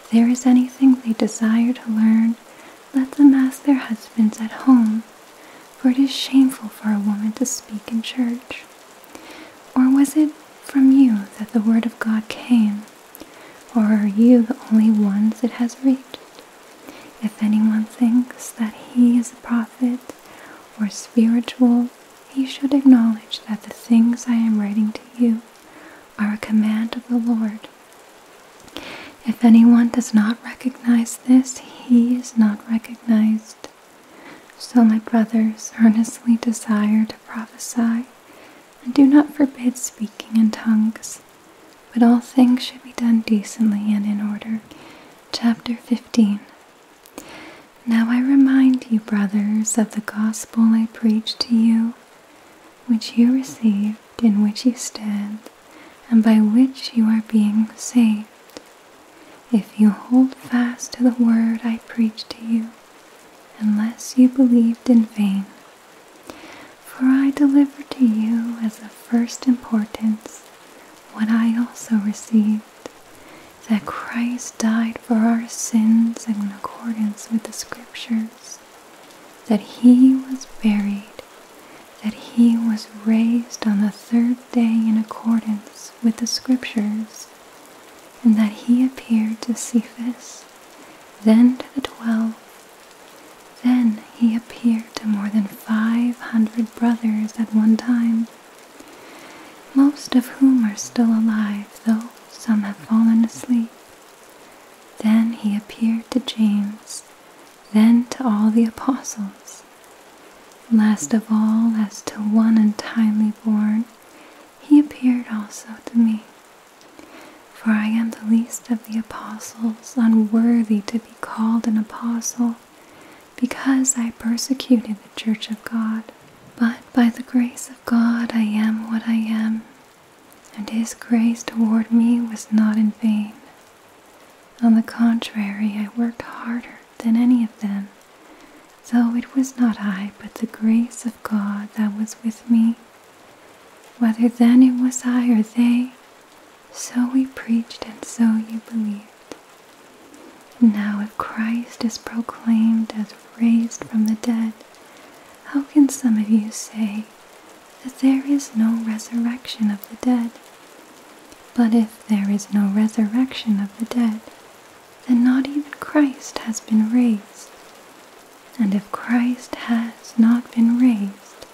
If there is anything they desire to learn, let them ask their husbands at home, for it is shameful for a woman to speak in church? Or was it from you that the word of God came? Or are you the only ones it has reached? If anyone thinks that he is a prophet or spiritual, he should acknowledge that the things I am writing to you are a command of the Lord. If anyone does not recognize this, he is not recognized so, my brothers, earnestly desire to prophesy, and do not forbid speaking in tongues, but all things should be done decently and in order. Chapter 15 Now I remind you, brothers, of the gospel I preached to you, which you received, in which you stand, and by which you are being saved if you hold fast to the word I preach to you, unless you believed in vain. For I delivered to you as of first importance what I also received that Christ died for our sins in accordance with the Scriptures, that he was buried, that he was raised on the third day in accordance with the Scriptures, and that he appeared to Cephas, then to the twelve. Then he appeared to more than five hundred brothers at one time, most of whom are still alive, though some have fallen asleep. Then he appeared to James, then to all the apostles. Last of all, as to one untimely born, he appeared also to me. For I am the least of the apostles, unworthy to be called an apostle, because I persecuted the church of God. But by the grace of God I am what I am, and his grace toward me was not in vain. On the contrary, I worked harder than any of them Though it was not I, but the grace of God that was with me. Whether then it was I or they, so we preached and so you believed. Now, if Christ is proclaimed as raised from the dead, how can some of you say that there is no resurrection of the dead? But if there is no resurrection of the dead, then not even Christ has been raised. And if Christ has not been raised,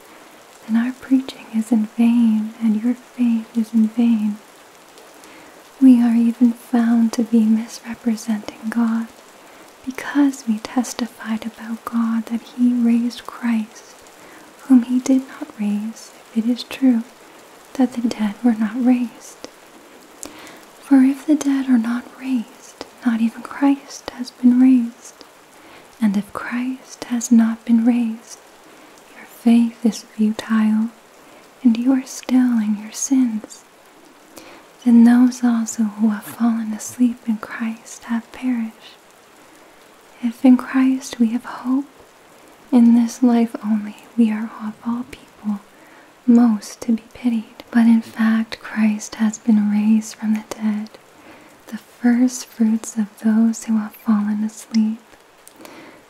then our preaching is in vain and your faith is in vain. We are even found to be misrepresenting God because we testified about God that He raised Christ, whom He did not raise, if it is true that the dead were not raised. For if the dead are not raised, not even Christ has been raised. And if Christ has not been raised, your faith is futile, and you are still in your sins. Then those also who have fallen asleep in Christ have perished. If in Christ we have hope in this life only, we are of all people most to be pitied. But in fact, Christ has been raised from the dead, the first fruits of those who have fallen asleep.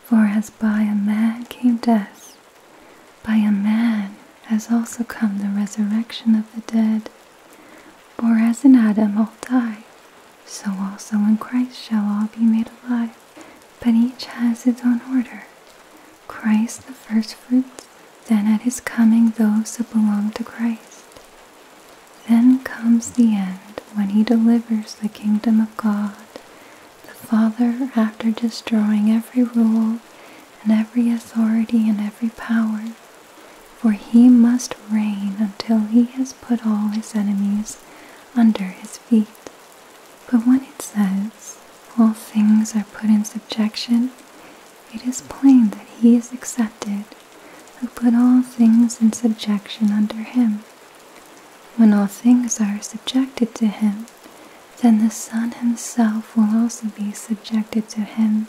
For as by a man came death, by a man has also come the resurrection of the dead. For as in Adam all die, so also in Christ shall all be made alive but each has its own order. Christ the first fruits, then at his coming those that belong to Christ. Then comes the end when he delivers the kingdom of God, the Father, after destroying every rule and every authority and every power. For he must reign until he has put all his enemies under his feet. But when it says, All things are put in subjection, it is plain that he is accepted who put all things in subjection under him. When all things are subjected to him, then the Son himself will also be subjected to him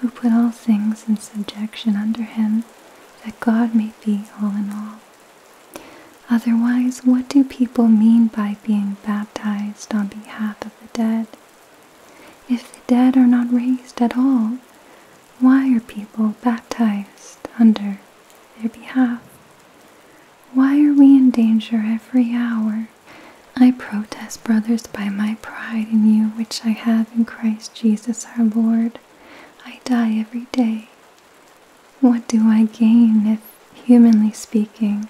who put all things in subjection under him, that God may be all in all. Otherwise, what do people mean by being baptized on behalf of the dead? If the dead are not raised at all, why are people baptized under their behalf? Why are we in danger every hour? I protest, brothers, by my pride in you which I have in Christ Jesus our Lord. I die every day, what do I gain if, humanly speaking,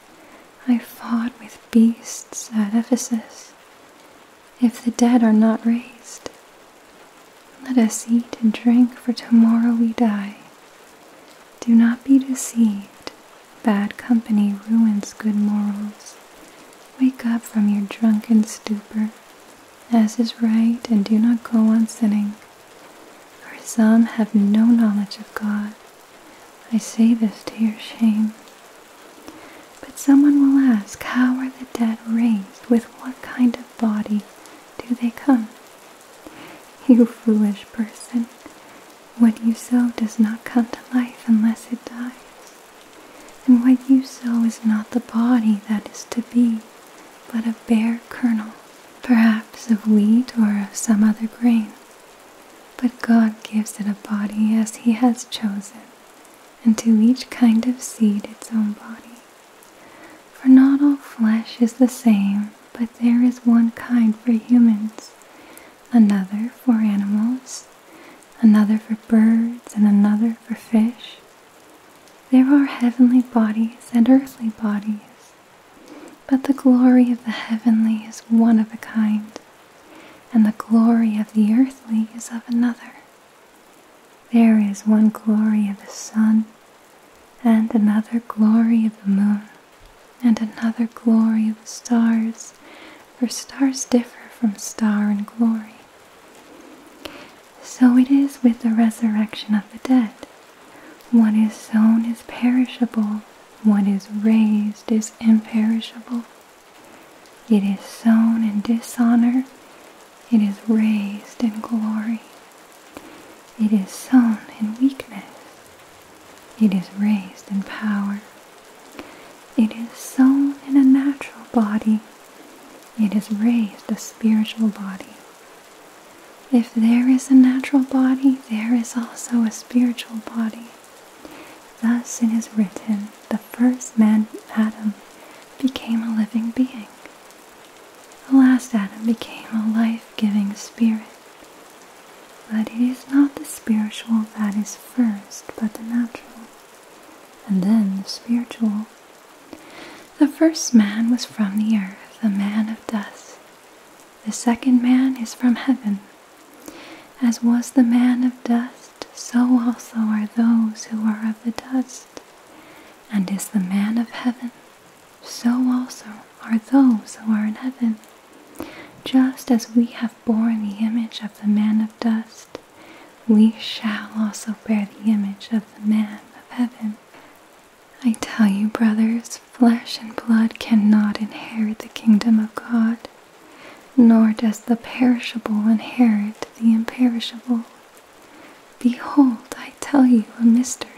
I fought with beasts at Ephesus? If the dead are not raised, let us eat and drink, for tomorrow we die. Do not be deceived. Bad company ruins good morals. Wake up from your drunken stupor, as is right, and do not go on sinning for some have no knowledge of God. I say this to your shame. But someone will ask, How are the dead raised? With what kind of body do they come? You foolish person, what you sow does not come to life unless it dies. And what you sow is not the body that is to be, but a bare kernel perhaps of wheat or of some other grain. But God gives it a body as He has chosen, and to each kind of seed its own body. For not all flesh is the same, but there is one kind for humans, another for animals, another for birds, and another for fish. There are heavenly bodies and earthly bodies, but the glory of the heavenly is one of a kind, and the glory of the earthly is of another. There is one glory of the sun, and another glory of the moon, and another glory of the stars, for stars differ from star in glory. So it is with the resurrection of the dead. What is sown is perishable, what is raised is imperishable. It is sown in dishonor, it is raised in glory. It is sown in weakness, it is raised in power. It is sown in a natural body, it is raised a spiritual body. If there is a natural body, there is also a spiritual body. Thus it is written, the first man, Adam, became a living being. The last Adam became a life giving spirit. But it is not the spiritual that is first, but the natural, and then the spiritual. The first man was from the earth, a man of dust. The second man is from heaven. As was the man of dust, so also are those who are of the dust. And is the man of heaven, so also are those who are in heaven. Just as we have borne the image of the man of dust, we shall also bear the image of the man of heaven. I tell you, brothers, flesh and blood cannot inherit the kingdom of God, nor does the perishable inherit the imperishable. Behold, I tell you a mystery.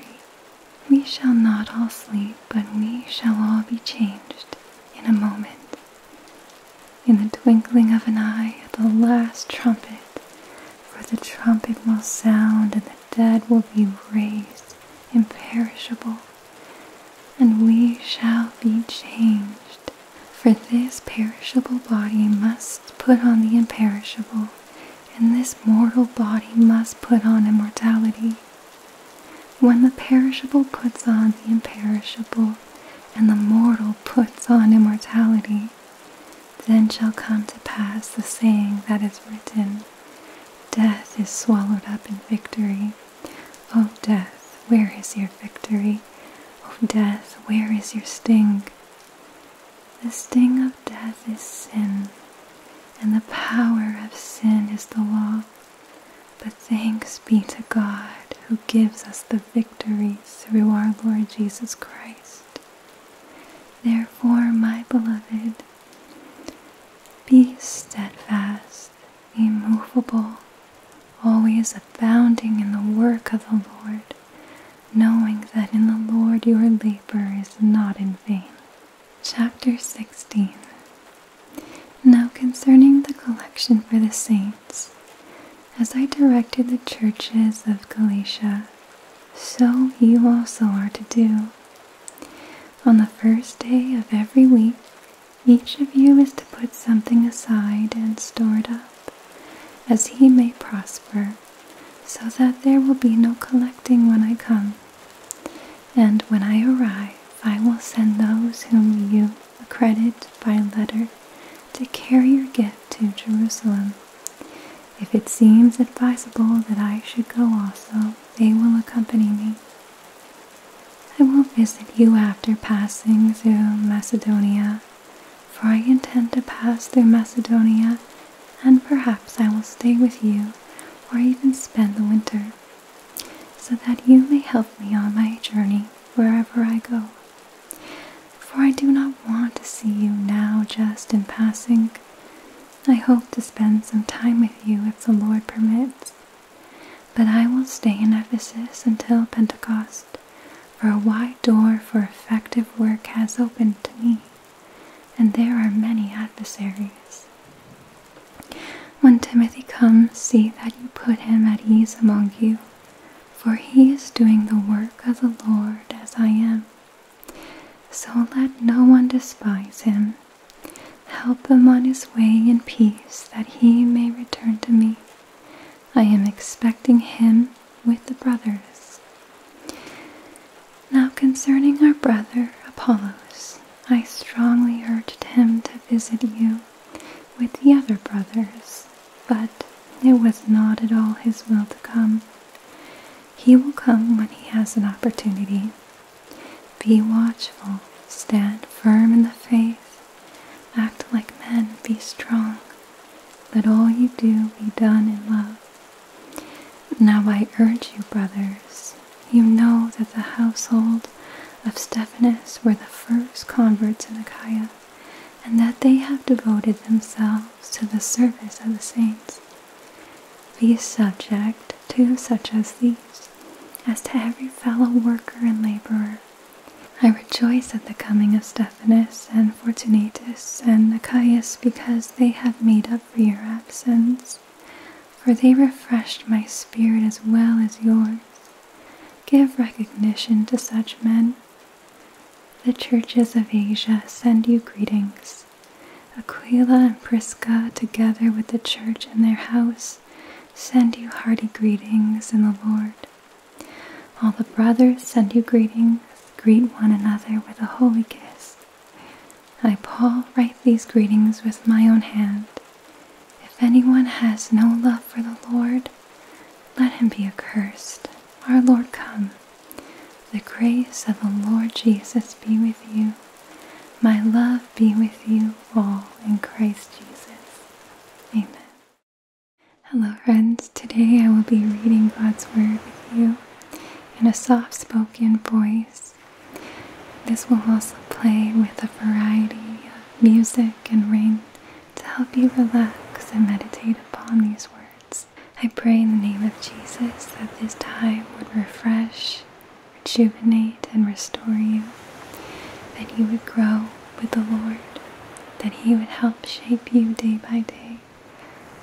We shall not all sleep, but we shall all be changed in a moment. In the twinkling of an eye, at the last trumpet, for the trumpet will sound, and the dead will be raised imperishable, and we shall be changed. For this perishable body must put on the imperishable, and this mortal body must put on immortality. When the perishable puts on the imperishable, and the mortal puts on immortality, then shall come to pass the saying that is written Death is swallowed up in victory. O oh, death, where is your victory? O oh, death, where is your sting? The sting of death is sin, and the power of sin is the law. But thanks be to God who gives us the victory through our Lord Jesus Christ. Therefore, my beloved, be steadfast, immovable, always abounding in the work of the Lord, knowing that in the Lord your labor is not in vain. Chapter 16 Now concerning the collection for the saints, as I directed the churches of Galatia, so you also are to do. On the first day of every week, each of you is to put something aside and store it up, as he may prosper, so that there will be no collecting when I come. And when I arrive, I will send those whom you accredit by letter to carry your gift to Jerusalem. If it seems advisable that I should go also, they will accompany me. I will visit you after passing through Macedonia, for I intend to pass through Macedonia, and perhaps I will stay with you or even spend the winter, so that you may help me on my journey wherever I go. For I do not want to see you now just in passing, I hope to spend some time with you if the Lord permits. But I will stay in Ephesus until Pentecost, for a wide door for effective work has opened to me, and there are many adversaries. When Timothy comes, see that you put him at ease among you, for he is doing the work of the Lord as I am. So let no one despise him Help him on his way in peace that he may return to me. I am expecting him with the brothers. Now concerning our brother Apollos, I strongly urged him to visit you with the other brothers, but it was not at all his will to come. He will come when he has an opportunity, be watchful, stand firm in the faith, act like men, be strong. Let all you do be done in love. Now I urge you, brothers, you know that the household of Stephanus were the first converts in Achaia, and that they have devoted themselves to the service of the saints be subject to such as these, as to every fellow worker and laborer. I rejoice at the coming of Stephanus and Fortunatus and Achaeus because they have made up for your absence, for they refreshed my spirit as well as yours. Give recognition to such men. The churches of Asia send you greetings. Aquila and Prisca, together with the church and their house, send you hearty greetings in the Lord. All the brothers send you greetings. Greet one another with a holy kiss. I, Paul, write these greetings with my own hand. If anyone has no love for the Lord, let him be accursed. Our Lord come. The grace of the Lord Jesus be with you. My love be with you all in Christ Jesus. Amen. Hello, friends. Today I will be reading God's Word with you in a soft spoken voice. This will also play with a variety of music and rain to help you relax and meditate upon these words. I pray in the name of Jesus that this time would refresh rejuvenate and restore you, that you would grow with the Lord, that He would help shape you day by day,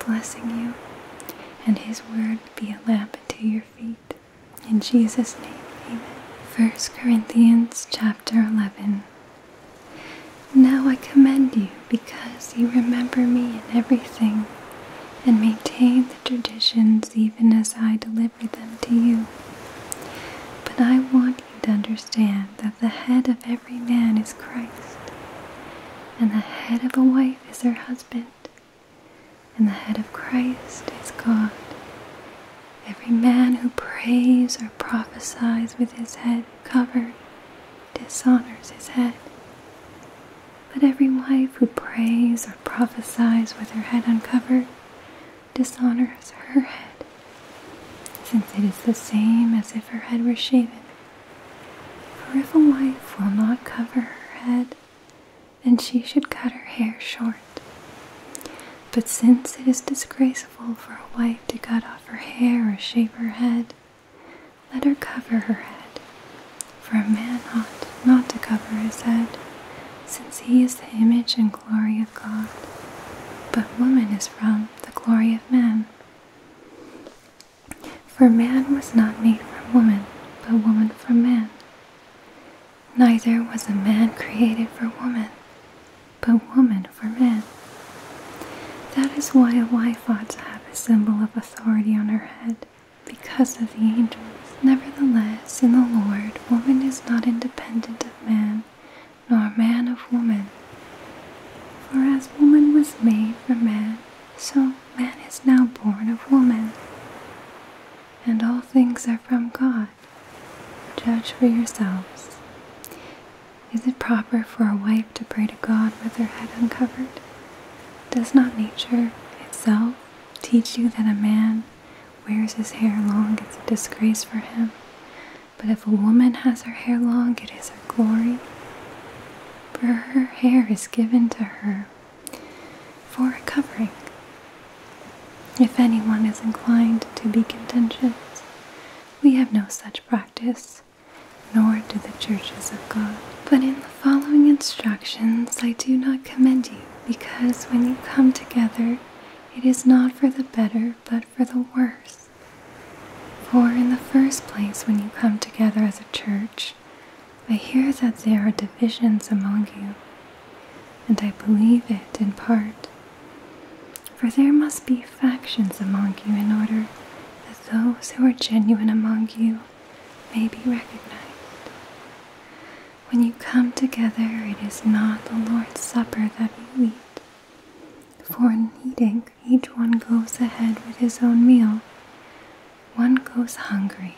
blessing you, and His word would be a lamp unto your feet. In Jesus' name, amen. First Corinthians chapter 11. Now I commend you because you remember me in everything and maintain traditions even as I deliver them to you. But I want you to understand that the head of every man is Christ, and the head of a wife is her husband, and the head of Christ is God. Every man who prays or prophesies with his head covered dishonors his head. But every wife who prays or prophesies with her head uncovered dishonors her head, since it is the same as if her head were shaven. For if a wife will not cover her head, then she should cut her hair short. But since it is disgraceful for a wife to cut off her hair or shave her head, let her cover her head. For a man ought not to cover his head, since he is the image and glory of God, but woman is from the glory of man. For man was not made from woman, but woman from man. Neither was a man created for woman, but woman for man. That is why a wife ought to have a symbol of authority on her head, because of the angels. Nevertheless, in the Lord, woman is not independent of man, nor man of woman. For as woman was made from man, so man is now born of woman. And all things are from God. Judge for yourselves. Is it proper for a wife to pray to God with her head uncovered? Does not nature itself teach you that a man wears his hair long, it's a disgrace for him. But if a woman has her hair long, it is her glory. For her hair is given to her for a covering. If anyone is inclined to be contentious, we have no such practice, nor do the churches of God. But in the following instructions, I do not commend you, because when you come together, it is not for the better, but for the worse. For in the first place, when you come together as a church, I hear that there are divisions among you, and I believe it in part. For there must be factions among you in order that those who are genuine among you may be recognized. When you come together, it is not the Lord's Supper that you eat. For in eating, each one goes ahead with his own meal. One goes hungry,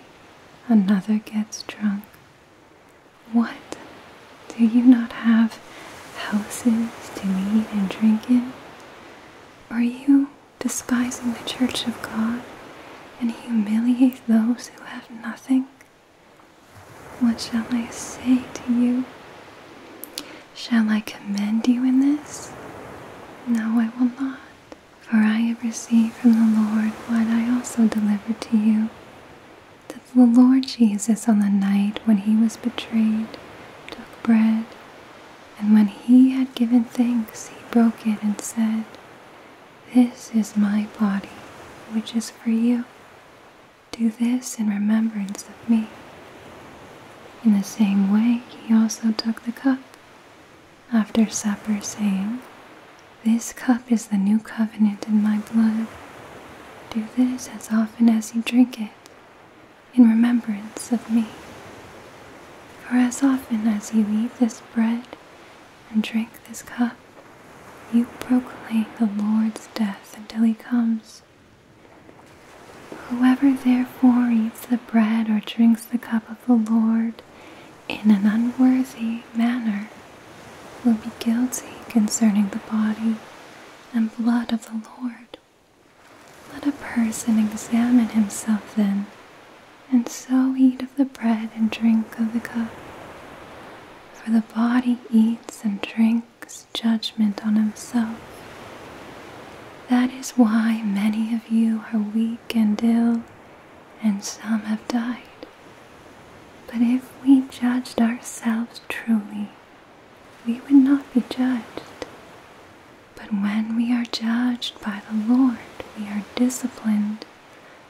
another gets drunk. What? Do you not have houses to eat and drink in? Are you despising the church of God and humiliate those who have nothing? What shall I say to you? Shall I commend you in this? No, I will not. For I have received from the Lord what I also delivered to you. That the Lord Jesus, on the night when he was betrayed, took bread, and when he had given thanks, he broke it and said, this is my body, which is for you. Do this in remembrance of me. In the same way, he also took the cup after supper, saying, This cup is the new covenant in my blood. Do this as often as you drink it, in remembrance of me. For as often as you eat this bread and drink this cup, you proclaim the Lord's death until he comes. Whoever therefore eats the bread or drinks the cup of the Lord in an unworthy manner will be guilty concerning the body and blood of the Lord. Let a person examine himself then, and so eat of the bread and drink of the cup for the body eats and drinks judgment on himself. That is why many of you are weak and ill, and some have died. But if we judged ourselves truly, we would not be judged. But when we are judged by the Lord, we are disciplined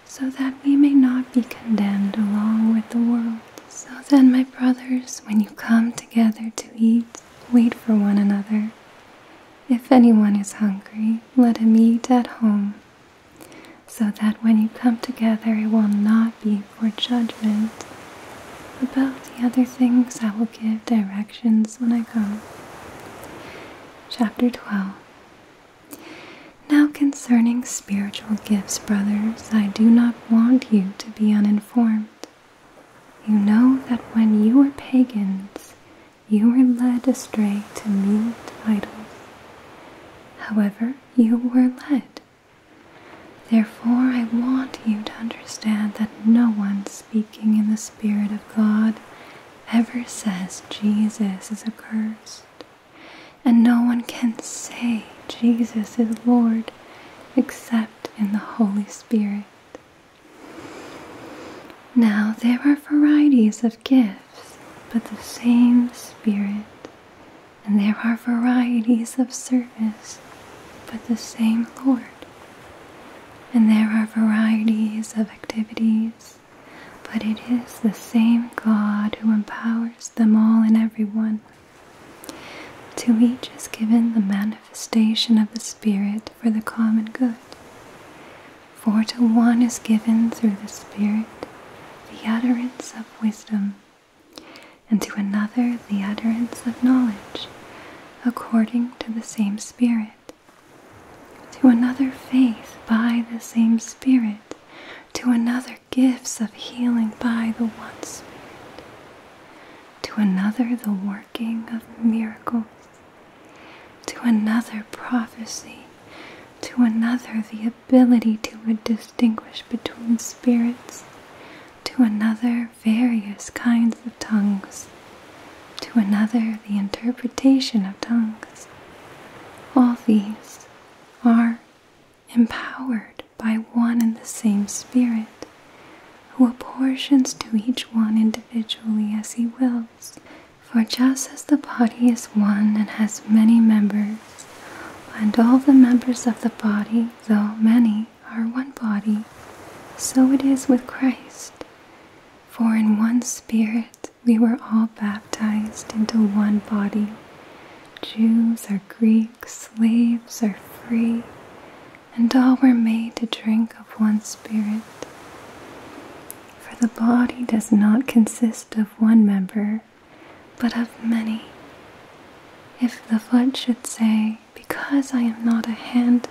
so that we may not be condemned along with the world. So then, my brothers, when you come together to eat, wait for one another. If anyone is hungry, let him eat at home, so that when you come together, it will not be for judgment. About the other things, I will give directions when I come. Chapter 12 now, concerning spiritual gifts, brothers, I do not want you to be uninformed. You know that when you were pagans, you were led astray to meet idols. However, you were led. Therefore, I want you to understand that no one speaking in the Spirit of God ever says Jesus is accursed. And no one can say Jesus is Lord except in the Holy Spirit. Now there are varieties of gifts, but the same Spirit. And there are varieties of service, but the same Lord. And there are varieties of activities, but it is the same God who empowers them all and everyone. To each is given the manifestation of the Spirit for the common good. For to one is given through the Spirit the utterance of wisdom, and to another the utterance of knowledge, according to the same Spirit. To another, faith by the same Spirit, to another, gifts of healing by the One Spirit, to another the working of miracles, to another prophecy, to another the ability to distinguish between spirits, to another various kinds of tongues, to another the interpretation of tongues. All these are empowered by one and the same Spirit, who apportions to each one individually as he wills. For just as the body is one and has many members, and all the members of the body, though many, are one body, so it is with Christ. For in one Spirit we were all baptized into one body, Jews are Greeks, slaves are free, and all were made to drink of one Spirit. For the body does not consist of one member, but of many. If the foot should say, Because I am not a hand,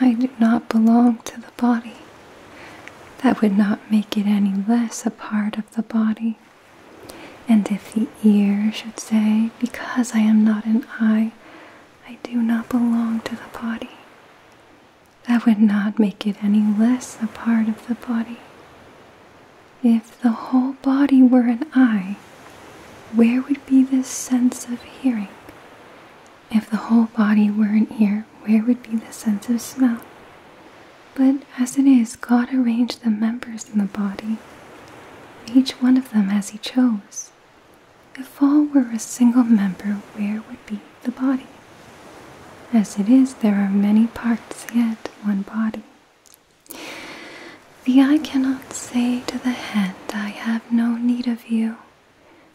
I do not belong to the body, that would not make it any less a part of the body. And if the ear should say, Because I am not an eye, I do not belong to the body, that would not make it any less a part of the body. If the whole body were an eye, where would be the sense of hearing? If the whole body were an ear, where would be the sense of smell? But as it is, God arranged the members in the body, each one of them as He chose. If all were a single member, where would be the body? As it is, there are many parts, yet one body. The eye cannot say to the hand, I have no need of you,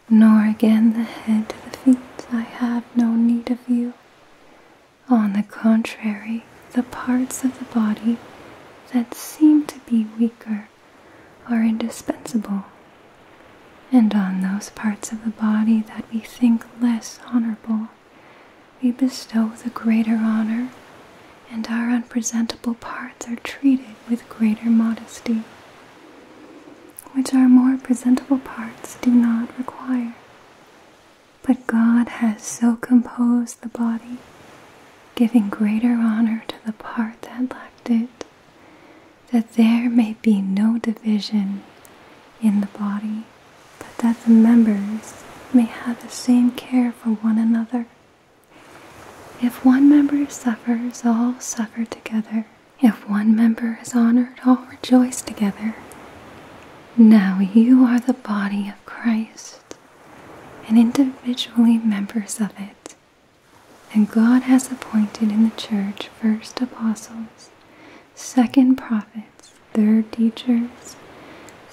nor again the hand to the feet, I have no need of you. On the contrary, the parts of the body that seem to be weaker are indispensable, and on those parts of the body that we think less honorable, we bestow the greater honor, and our unpresentable parts are treated with greater modesty, which our more presentable parts do not require. But God has so composed the body, giving greater honor to the part that lacked it, that there may be no division in the body, but that the members may have the same care for one another. If one member suffers, all suffer together. If one member is honored, all rejoice together. Now you are the body of Christ and individually members of it. And God has appointed in the church first apostles, second prophets, third teachers,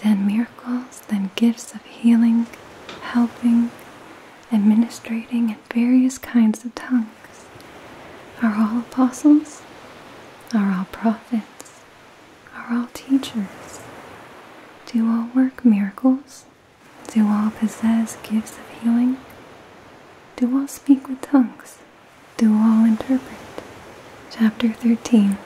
then miracles, then gifts of healing, helping, administrating, and various kinds of tongues. Are all apostles? Are all prophets? are all teachers? Do all work miracles? Do all possess gifts of healing? Do all speak with tongues? Do all interpret? Chapter 13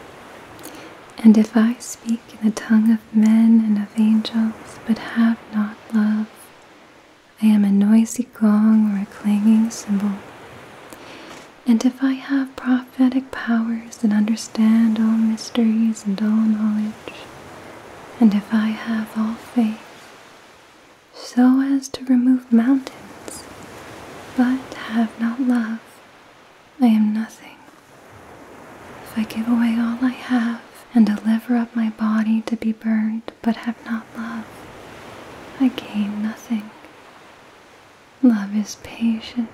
And if I speak in the tongue of men and of angels, but have not love, I am a noisy gong or a clanging cymbal. And if I have prophetic powers and understand all mysteries and all knowledge, and if I have all faith, so as to remove mountains, but have not love, I am nothing. If I give away all I have and deliver up my body to be burned, but have not love, I gain nothing. Love is patient.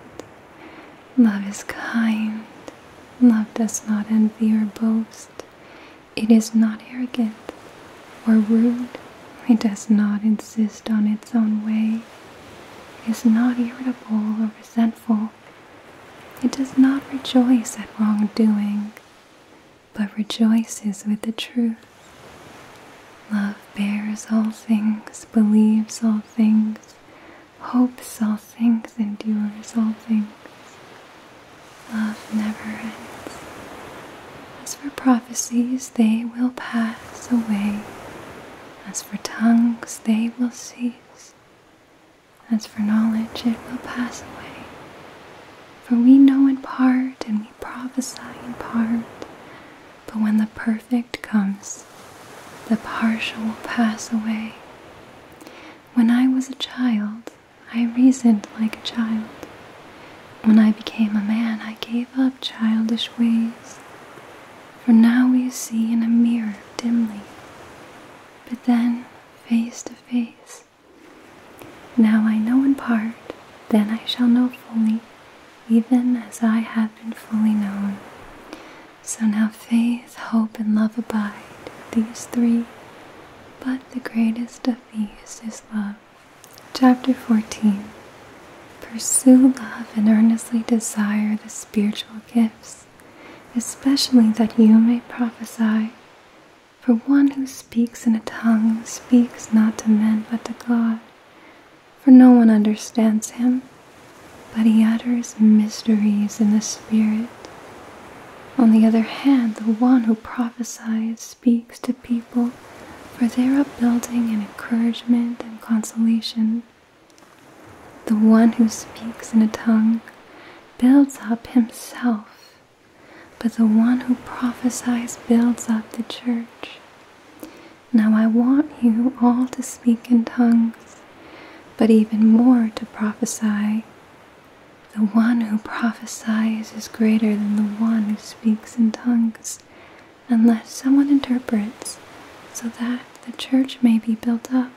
Love is kind. Love does not envy or boast. It is not arrogant or rude. It does not insist on its own way. It is not irritable or resentful. It does not rejoice at wrongdoing, but rejoices with the truth. Love bears all things, believes all things, hopes all things, endures all things. Love never ends. As for prophecies, they will pass away. As for tongues, they will cease. As for knowledge, it will pass away. For we know in part, and we prophesy in part. But when the perfect comes, the partial will pass away. When I was a child, I reasoned like a child. When I became a man, I gave up childish ways. For now we see in a mirror dimly, but then face to face. Now I know in part, then I shall know fully, even as I have been fully known. So now faith, hope, and love abide, these three, but the greatest of these is love. Chapter 14 Pursue love and earnestly desire the spiritual gifts, especially that you may prophesy. For one who speaks in a tongue speaks not to men but to God for no one understands him, but he utters mysteries in the spirit. On the other hand, the one who prophesies speaks to people for their building and encouragement and consolation. The one who speaks in a tongue builds up himself, but the one who prophesies builds up the church. Now I want you all to speak in tongues, but even more to prophesy. The one who prophesies is greater than the one who speaks in tongues, unless someone interprets, so that the church may be built up.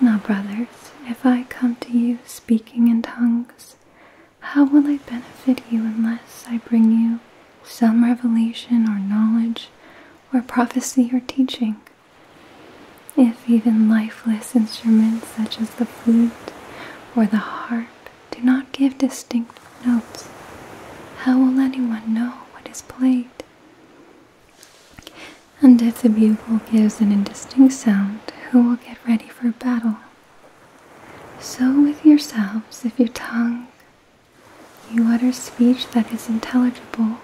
Now, brothers, if I come to you speaking in tongues, how will I benefit you unless I bring you some revelation or knowledge or prophecy or teaching. If even lifeless instruments such as the flute or the harp do not give distinct notes, how will anyone know what is played? And if the bugle gives an indistinct sound, who will get ready for battle? So with yourselves, if your tongue you utter speech that is intelligible.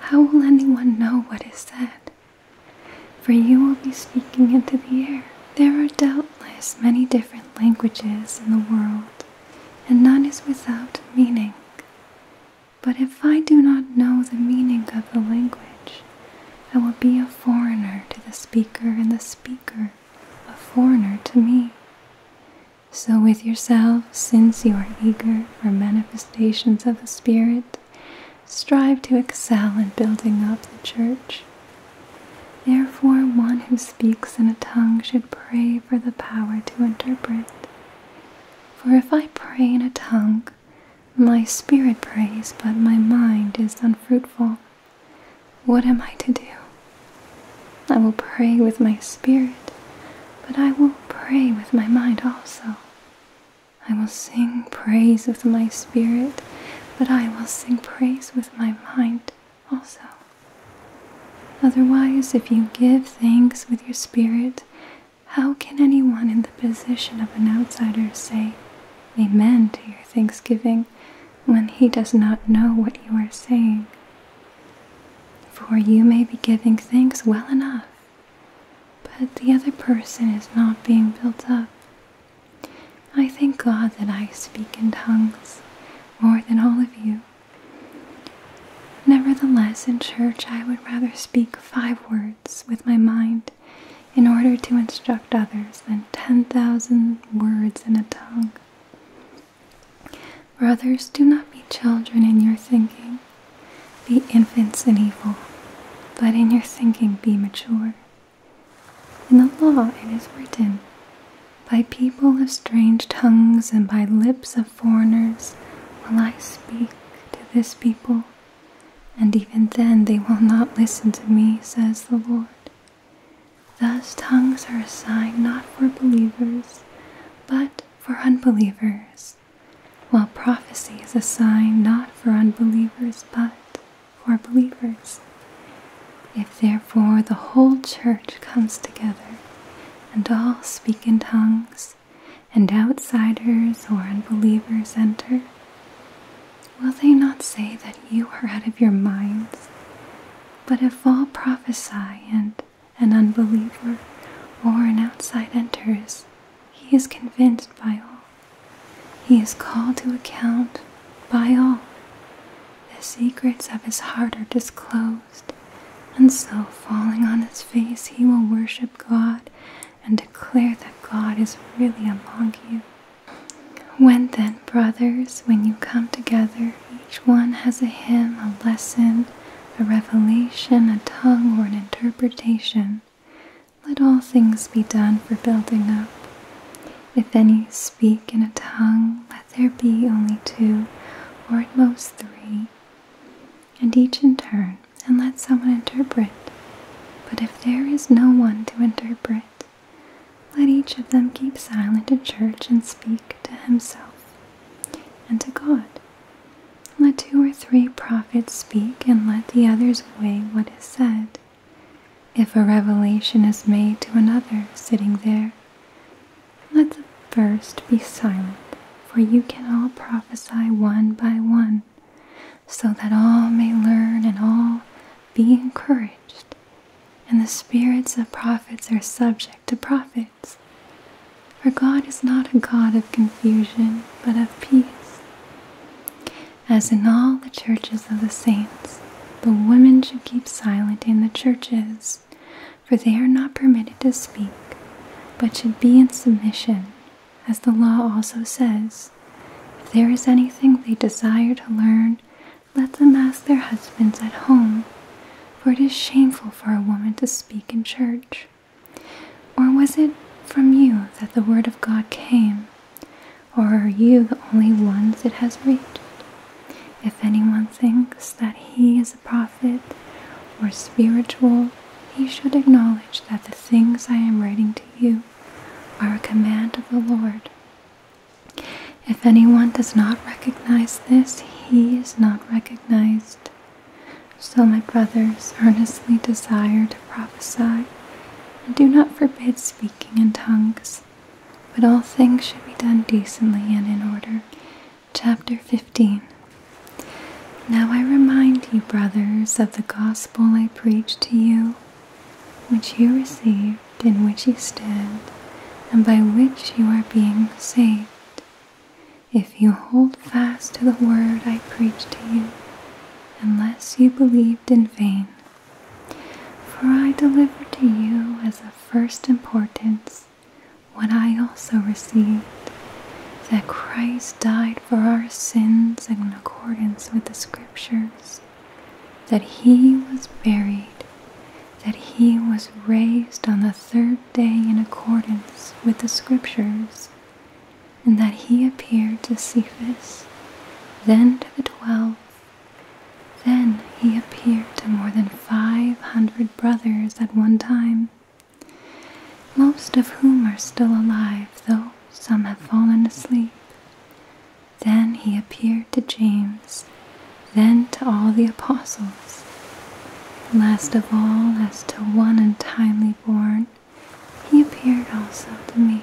How will anyone know what is said? For you will be speaking into the air. There are doubtless many different languages in the world, and none is without meaning. But if I do not know the meaning of the language, I will be a foreigner to the speaker, and the speaker a foreigner to me. So, with yourself, since you are eager for manifestations of the Spirit, strive to excel in building up the church. Therefore, one who speaks in a tongue should pray for the power to interpret. For if I pray in a tongue, my spirit prays, but my mind is unfruitful. What am I to do? I will pray with my spirit, but I will pray with my mind also. I will sing praise with my spirit, but I will sing praise with my mind also. Otherwise, if you give thanks with your spirit, how can anyone in the position of an outsider say amen to your thanksgiving when he does not know what you are saying? For you may be giving thanks well enough, but the other person is not being built up. I thank God that I speak in tongues more than all of you. Nevertheless, in church, I would rather speak five words with my mind in order to instruct others than 10,000 words in a tongue. Brothers, do not be children in your thinking. Be infants in evil, but in your thinking be mature. In the law it is written, By people of strange tongues and by lips of foreigners will I speak to this people, and even then they will not listen to me, says the Lord. Thus tongues are a sign not for believers, but for unbelievers, while prophecy is a sign not for unbelievers but for believers. If therefore the whole church comes together and all speak in tongues, and outsiders or unbelievers enter, will they not say that you are out of your minds? But if all prophesy and an unbeliever, or an outside enters, he is convinced by all. He is called to account by all. The secrets of his heart are disclosed, and so falling on his face, he will worship God and declare that God is really among you. When then, brothers, when you come together, each one has a hymn, a lesson, a revelation, a tongue, or an interpretation. Let all things be done for building up. If any speak in a tongue, let there be only two, or at most three, and each in turn, and let someone interpret. But if there is no one to interpret, let each of them keep silent in church and speak to himself and to God. Let two or three prophets speak, and let the others weigh what is said. If a revelation is made to another sitting there, let the first be silent, for you can all prophesy one by one, so that all may learn and all be encouraged. And the spirits of prophets are subject subject to prophets. For God is not a God of confusion, but of peace. As in all the churches of the saints, the women should keep silent in the churches, for they are not permitted to speak, but should be in submission, as the law also says. If there is anything they desire to learn, let them ask their husbands at home, for it is shameful for a woman to speak in church. Or was it from you that the word of God came? Or are you the only ones it has reached? If anyone thinks that he is a prophet or spiritual, he should acknowledge that the things I am writing to you are a command of the Lord. If anyone does not recognize this, he is not recognized so, my brothers, earnestly desire to prophesy, and do not forbid speaking in tongues, but all things should be done decently and in order. Chapter 15 Now I remind you, brothers, of the gospel I preached to you, which you received, in which you stand, and by which you are being saved. If you hold fast to the word I preach to you, unless you believed in vain. For I delivered to you as of first importance what I also received that Christ died for our sins in accordance with the Scriptures, that He was buried, that He was raised on the third day day in accordance with the Scriptures, and that he appeared to Cephas, then to the twelve. Then he appeared to more than five hundred brothers at one time, most of whom are still alive, though some have fallen asleep. Then he appeared to James, then to all the apostles. Last of all, as to one untimely born, he appeared also to me.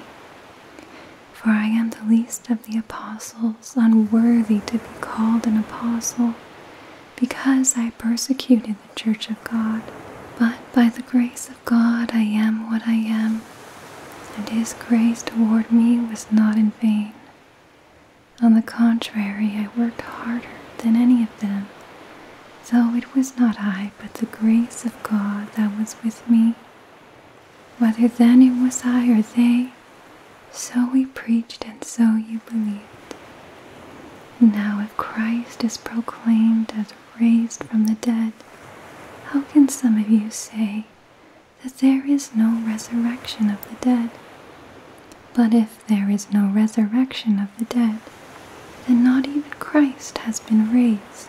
For I am the least of the apostles, unworthy to be called an apostle, because I persecuted the church of God. But by the grace of God I am what I am, and his grace toward me was not in vain. On the contrary, I worked harder than any of them, though it was not I, but the grace of God that was with me. Whether then it was I or they, so we preached and so you believed. Now, if Christ is proclaimed as raised from the dead, how can some of you say that there is no resurrection of the dead? But if if there is no resurrection of the dead, then not even Christ has been raised.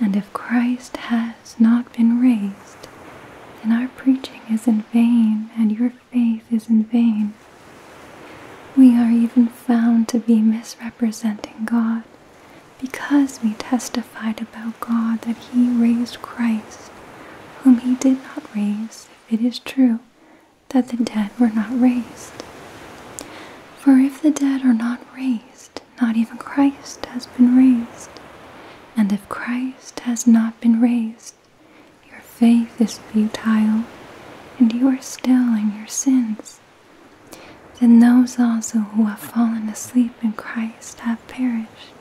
And if Christ has not been raised, then our preaching is in vain and your faith is in vain. We are even found to be misrepresenting God because we testified about God that He raised Christ, whom He did not raise, if it is true that the dead were not raised. For if the dead are not raised, not even Christ has been raised. And if Christ has not been raised, your faith is futile, and you are still in your sins. Then those also who have fallen asleep in Christ have perished.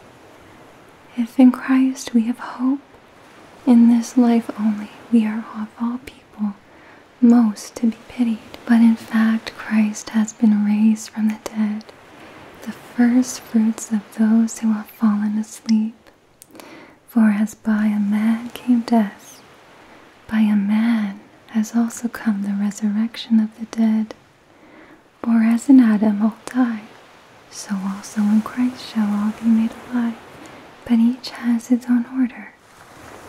If in Christ we have hope in this life only, we are of all people most to be pitied. But in fact, Christ has been raised from the dead, the firstfruits of those who have fallen asleep. For as by a man came death, by a man has also come the resurrection of the dead. For as in Adam all die, so also in Christ shall all be made alive, but each has its own order.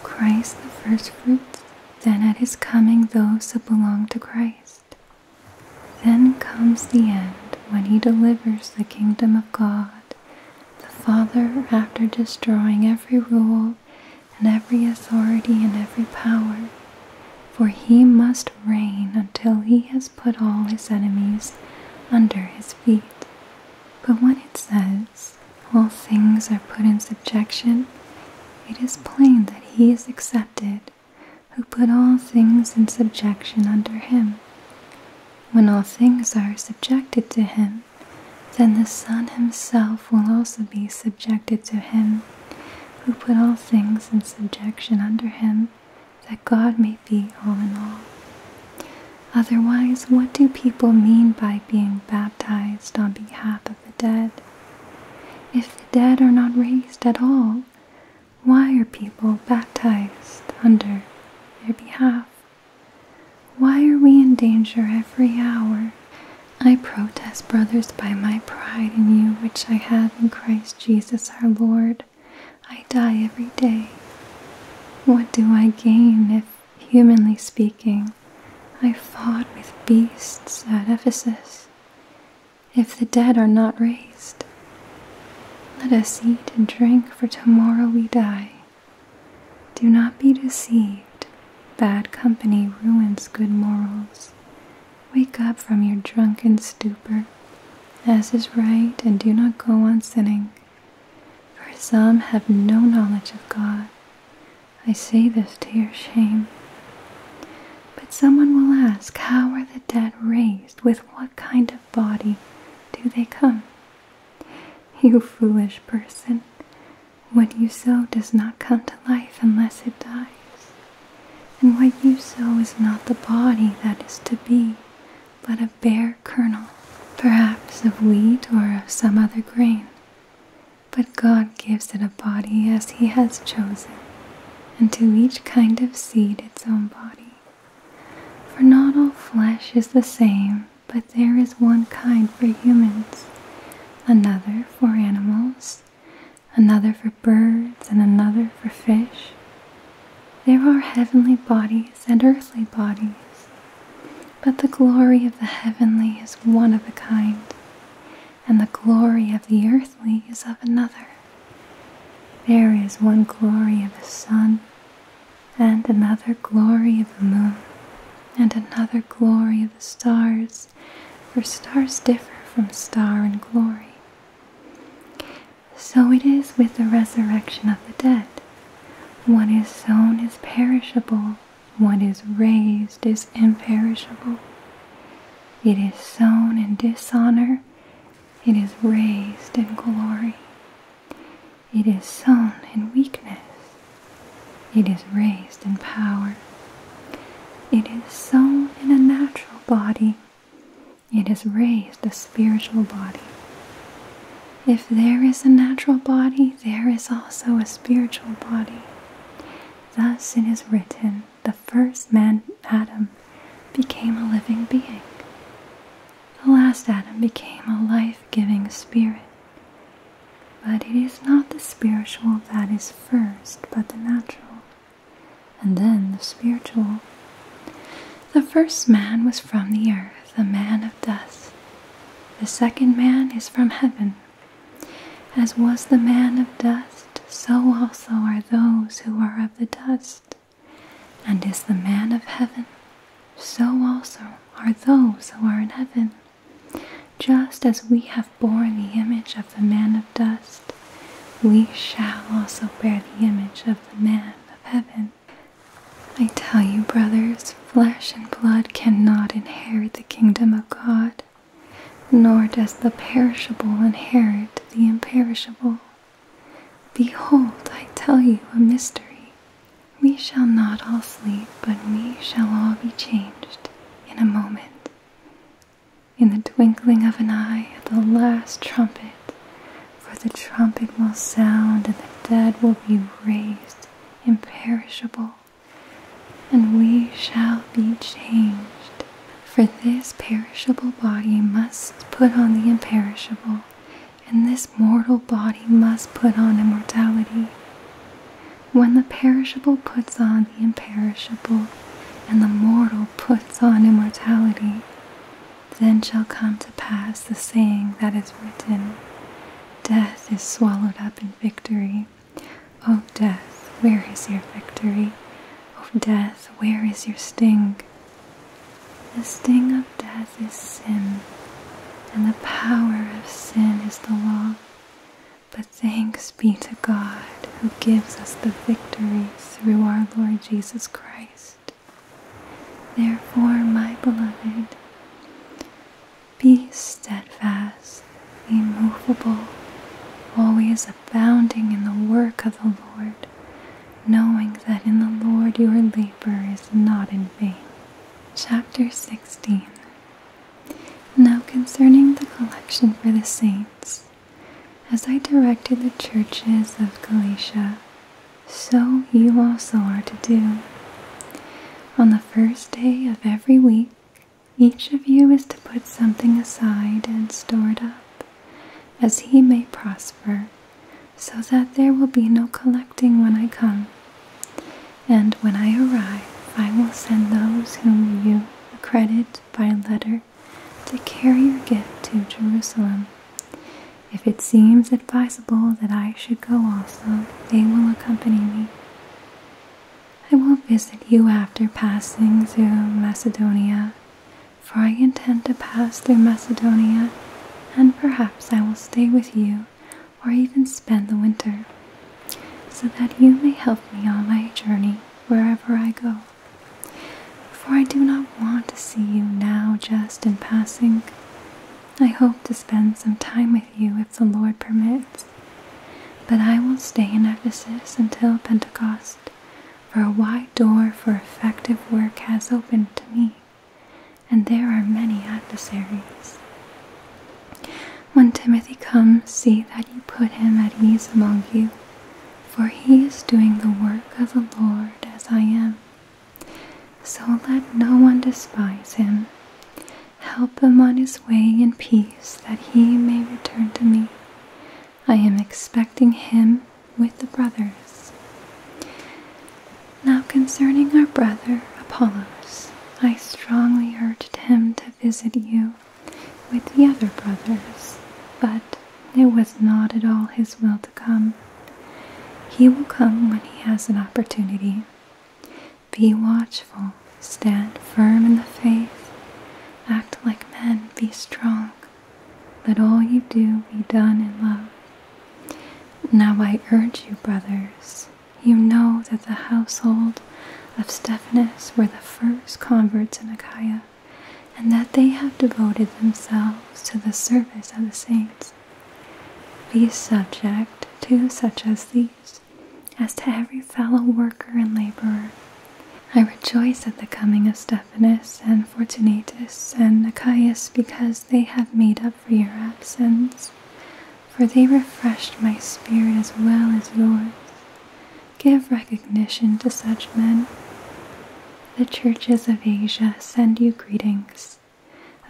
Christ the first then at his coming those that belong to Christ. Then comes the end when he delivers the kingdom of God, the Father, after destroying every rule and every authority and every power. For he must reign until he has put all his enemies under his feet. But when it says, all things are put in subjection, it is plain that he is accepted who put all things in subjection under him. When all things are subjected to him, then the Son himself will also be subjected to him who put all things in subjection under him, that God may be all in all. Otherwise, what do people mean by being baptized on behalf of the dead? If the dead are not raised at all, why are people baptized under their behalf? Why are we in danger every hour? I protest, brothers, by my pride in you which I have in Christ Jesus our Lord, I die every day. What do I gain if, humanly speaking, I fought with beasts at Ephesus? If the dead are not raised, let us eat and drink, for tomorrow we die. Do not be deceived. Bad company ruins good morals. Wake up from your drunken stupor, as is right, and do not go on sinning. For some have no knowledge of God. I say this to your shame. But someone will ask, How are the dead raised? With what kind of body do they come? You foolish person, what you sow does not come to life unless it dies. And what you sow is not the body that is to be, but a bare kernel, perhaps of wheat or of some other grain. But God gives it a body as He has chosen, and to each kind of seed its own body. For not all flesh is the same, but there is one kind for humans, another for animals, another for birds, and another for fish. There are heavenly bodies and earthly bodies, but the glory of the heavenly is one of a kind, and the glory of the earthly is of another. There is one glory of the sun, and another glory of the moon, and another glory of the stars, for stars differ from star in glory. So it is with the resurrection of the dead. What is sown is perishable, what is raised is imperishable. It is sown in dishonor, it is raised in glory. It is sown in weakness, it is raised in power. It is sown in a natural body, it is raised spiritual body. If there is a natural body, there is also a spiritual body. Thus it is written, the first man, Adam, became a living being. The last Adam became a life giving spirit. But it is not the spiritual that is first, but the natural, and then the spiritual. The first man was from the earth the man of dust. The second man is from heaven. As was the man of dust, so also are those who are of the dust. And is the man of heaven, so also are those who are in heaven. Just as we have borne the image of the man of dust, we shall also bear the image of the man of heaven. I tell you, brothers, flesh and blood cannot inherit the kingdom of God, nor does the perishable inherit the imperishable. Behold, I tell you a mystery. We shall not all sleep, but we shall all be changed in a moment. In the twinkling of an eye, at the last trumpet, for the trumpet will sound, and the dead will be raised imperishable, and we shall be changed. For this perishable body must put on the imperishable, and this mortal body must put on immortality. When the perishable puts on the imperishable, and the mortal puts on immortality, then shall come to pass the saying that is written Death is swallowed up in victory. O oh, death, where is your victory? O oh, death, where is your sting? The sting of death is sin, and the power of sin is the law. But thanks be to God who gives us the victory through our Lord Jesus Christ. Therefore, my beloved, be steadfast, immovable, always abounding in the work of the Lord, knowing that in the Lord your labor is not in vain. Chapter 16 Now concerning the collection for the saints, as I directed the churches of Galatia, so you also are to do. On the first day of every week, each of you is to put something aside and store it up, as he may prosper, so that there will be no collecting when I come. And when I arrive, I will send those whom you accredit by letter to carry your gift to Jerusalem. If it seems advisable, that I should go also, they will accompany me. I will visit you after passing through Macedonia, for I intend to pass through Macedonia, and perhaps I will stay with you or even spend the winter, so that you may help me on my journey wherever I go. For I do not want to see you now just in passing. I hope to spend some time with you if the Lord permits. But I will stay in Ephesus until Pentecost, for a wide door for effective work has opened to me, and there are many adversaries. When Timothy comes, see that you put him at ease among you, for he is doing the work of the Lord as I am. So let no one despise him. Help him on his way in peace, that he may return to me. I am expecting him with the brothers. Now, concerning our brother Apollos, I strongly urged him to visit you with the other brothers, but it was not at all his will to come. He will come when he has an opportunity. Be watchful, stand firm in the faith, act like men, be strong. Let all you do be done in love. Now I urge you, brothers, you know that the household of Stephanus were the first converts in Achaia, and that they have devoted themselves to the service of the saints be subject to such as these, as to every fellow worker and laborer. I rejoice at the coming of Stephanus and Fortunatus and Achaeus because they have made up for your absence, for they refreshed my spirit as well as yours. Give recognition to such men. The churches of Asia send you greetings.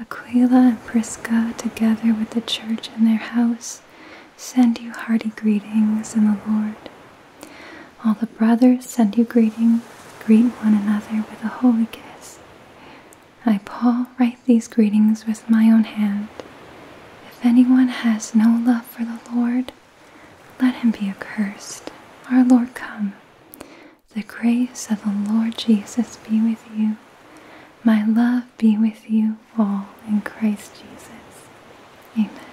Aquila and Prisca, together with the church and their house, send you hearty greetings in the Lord. All the brothers send you greetings. Greet one another with a holy kiss. I, Paul, write these greetings with my own hand. If anyone has no love for the Lord, let him be accursed. Our Lord, come. The grace of the Lord Jesus be with you. My love be with you all in Christ Jesus. Amen.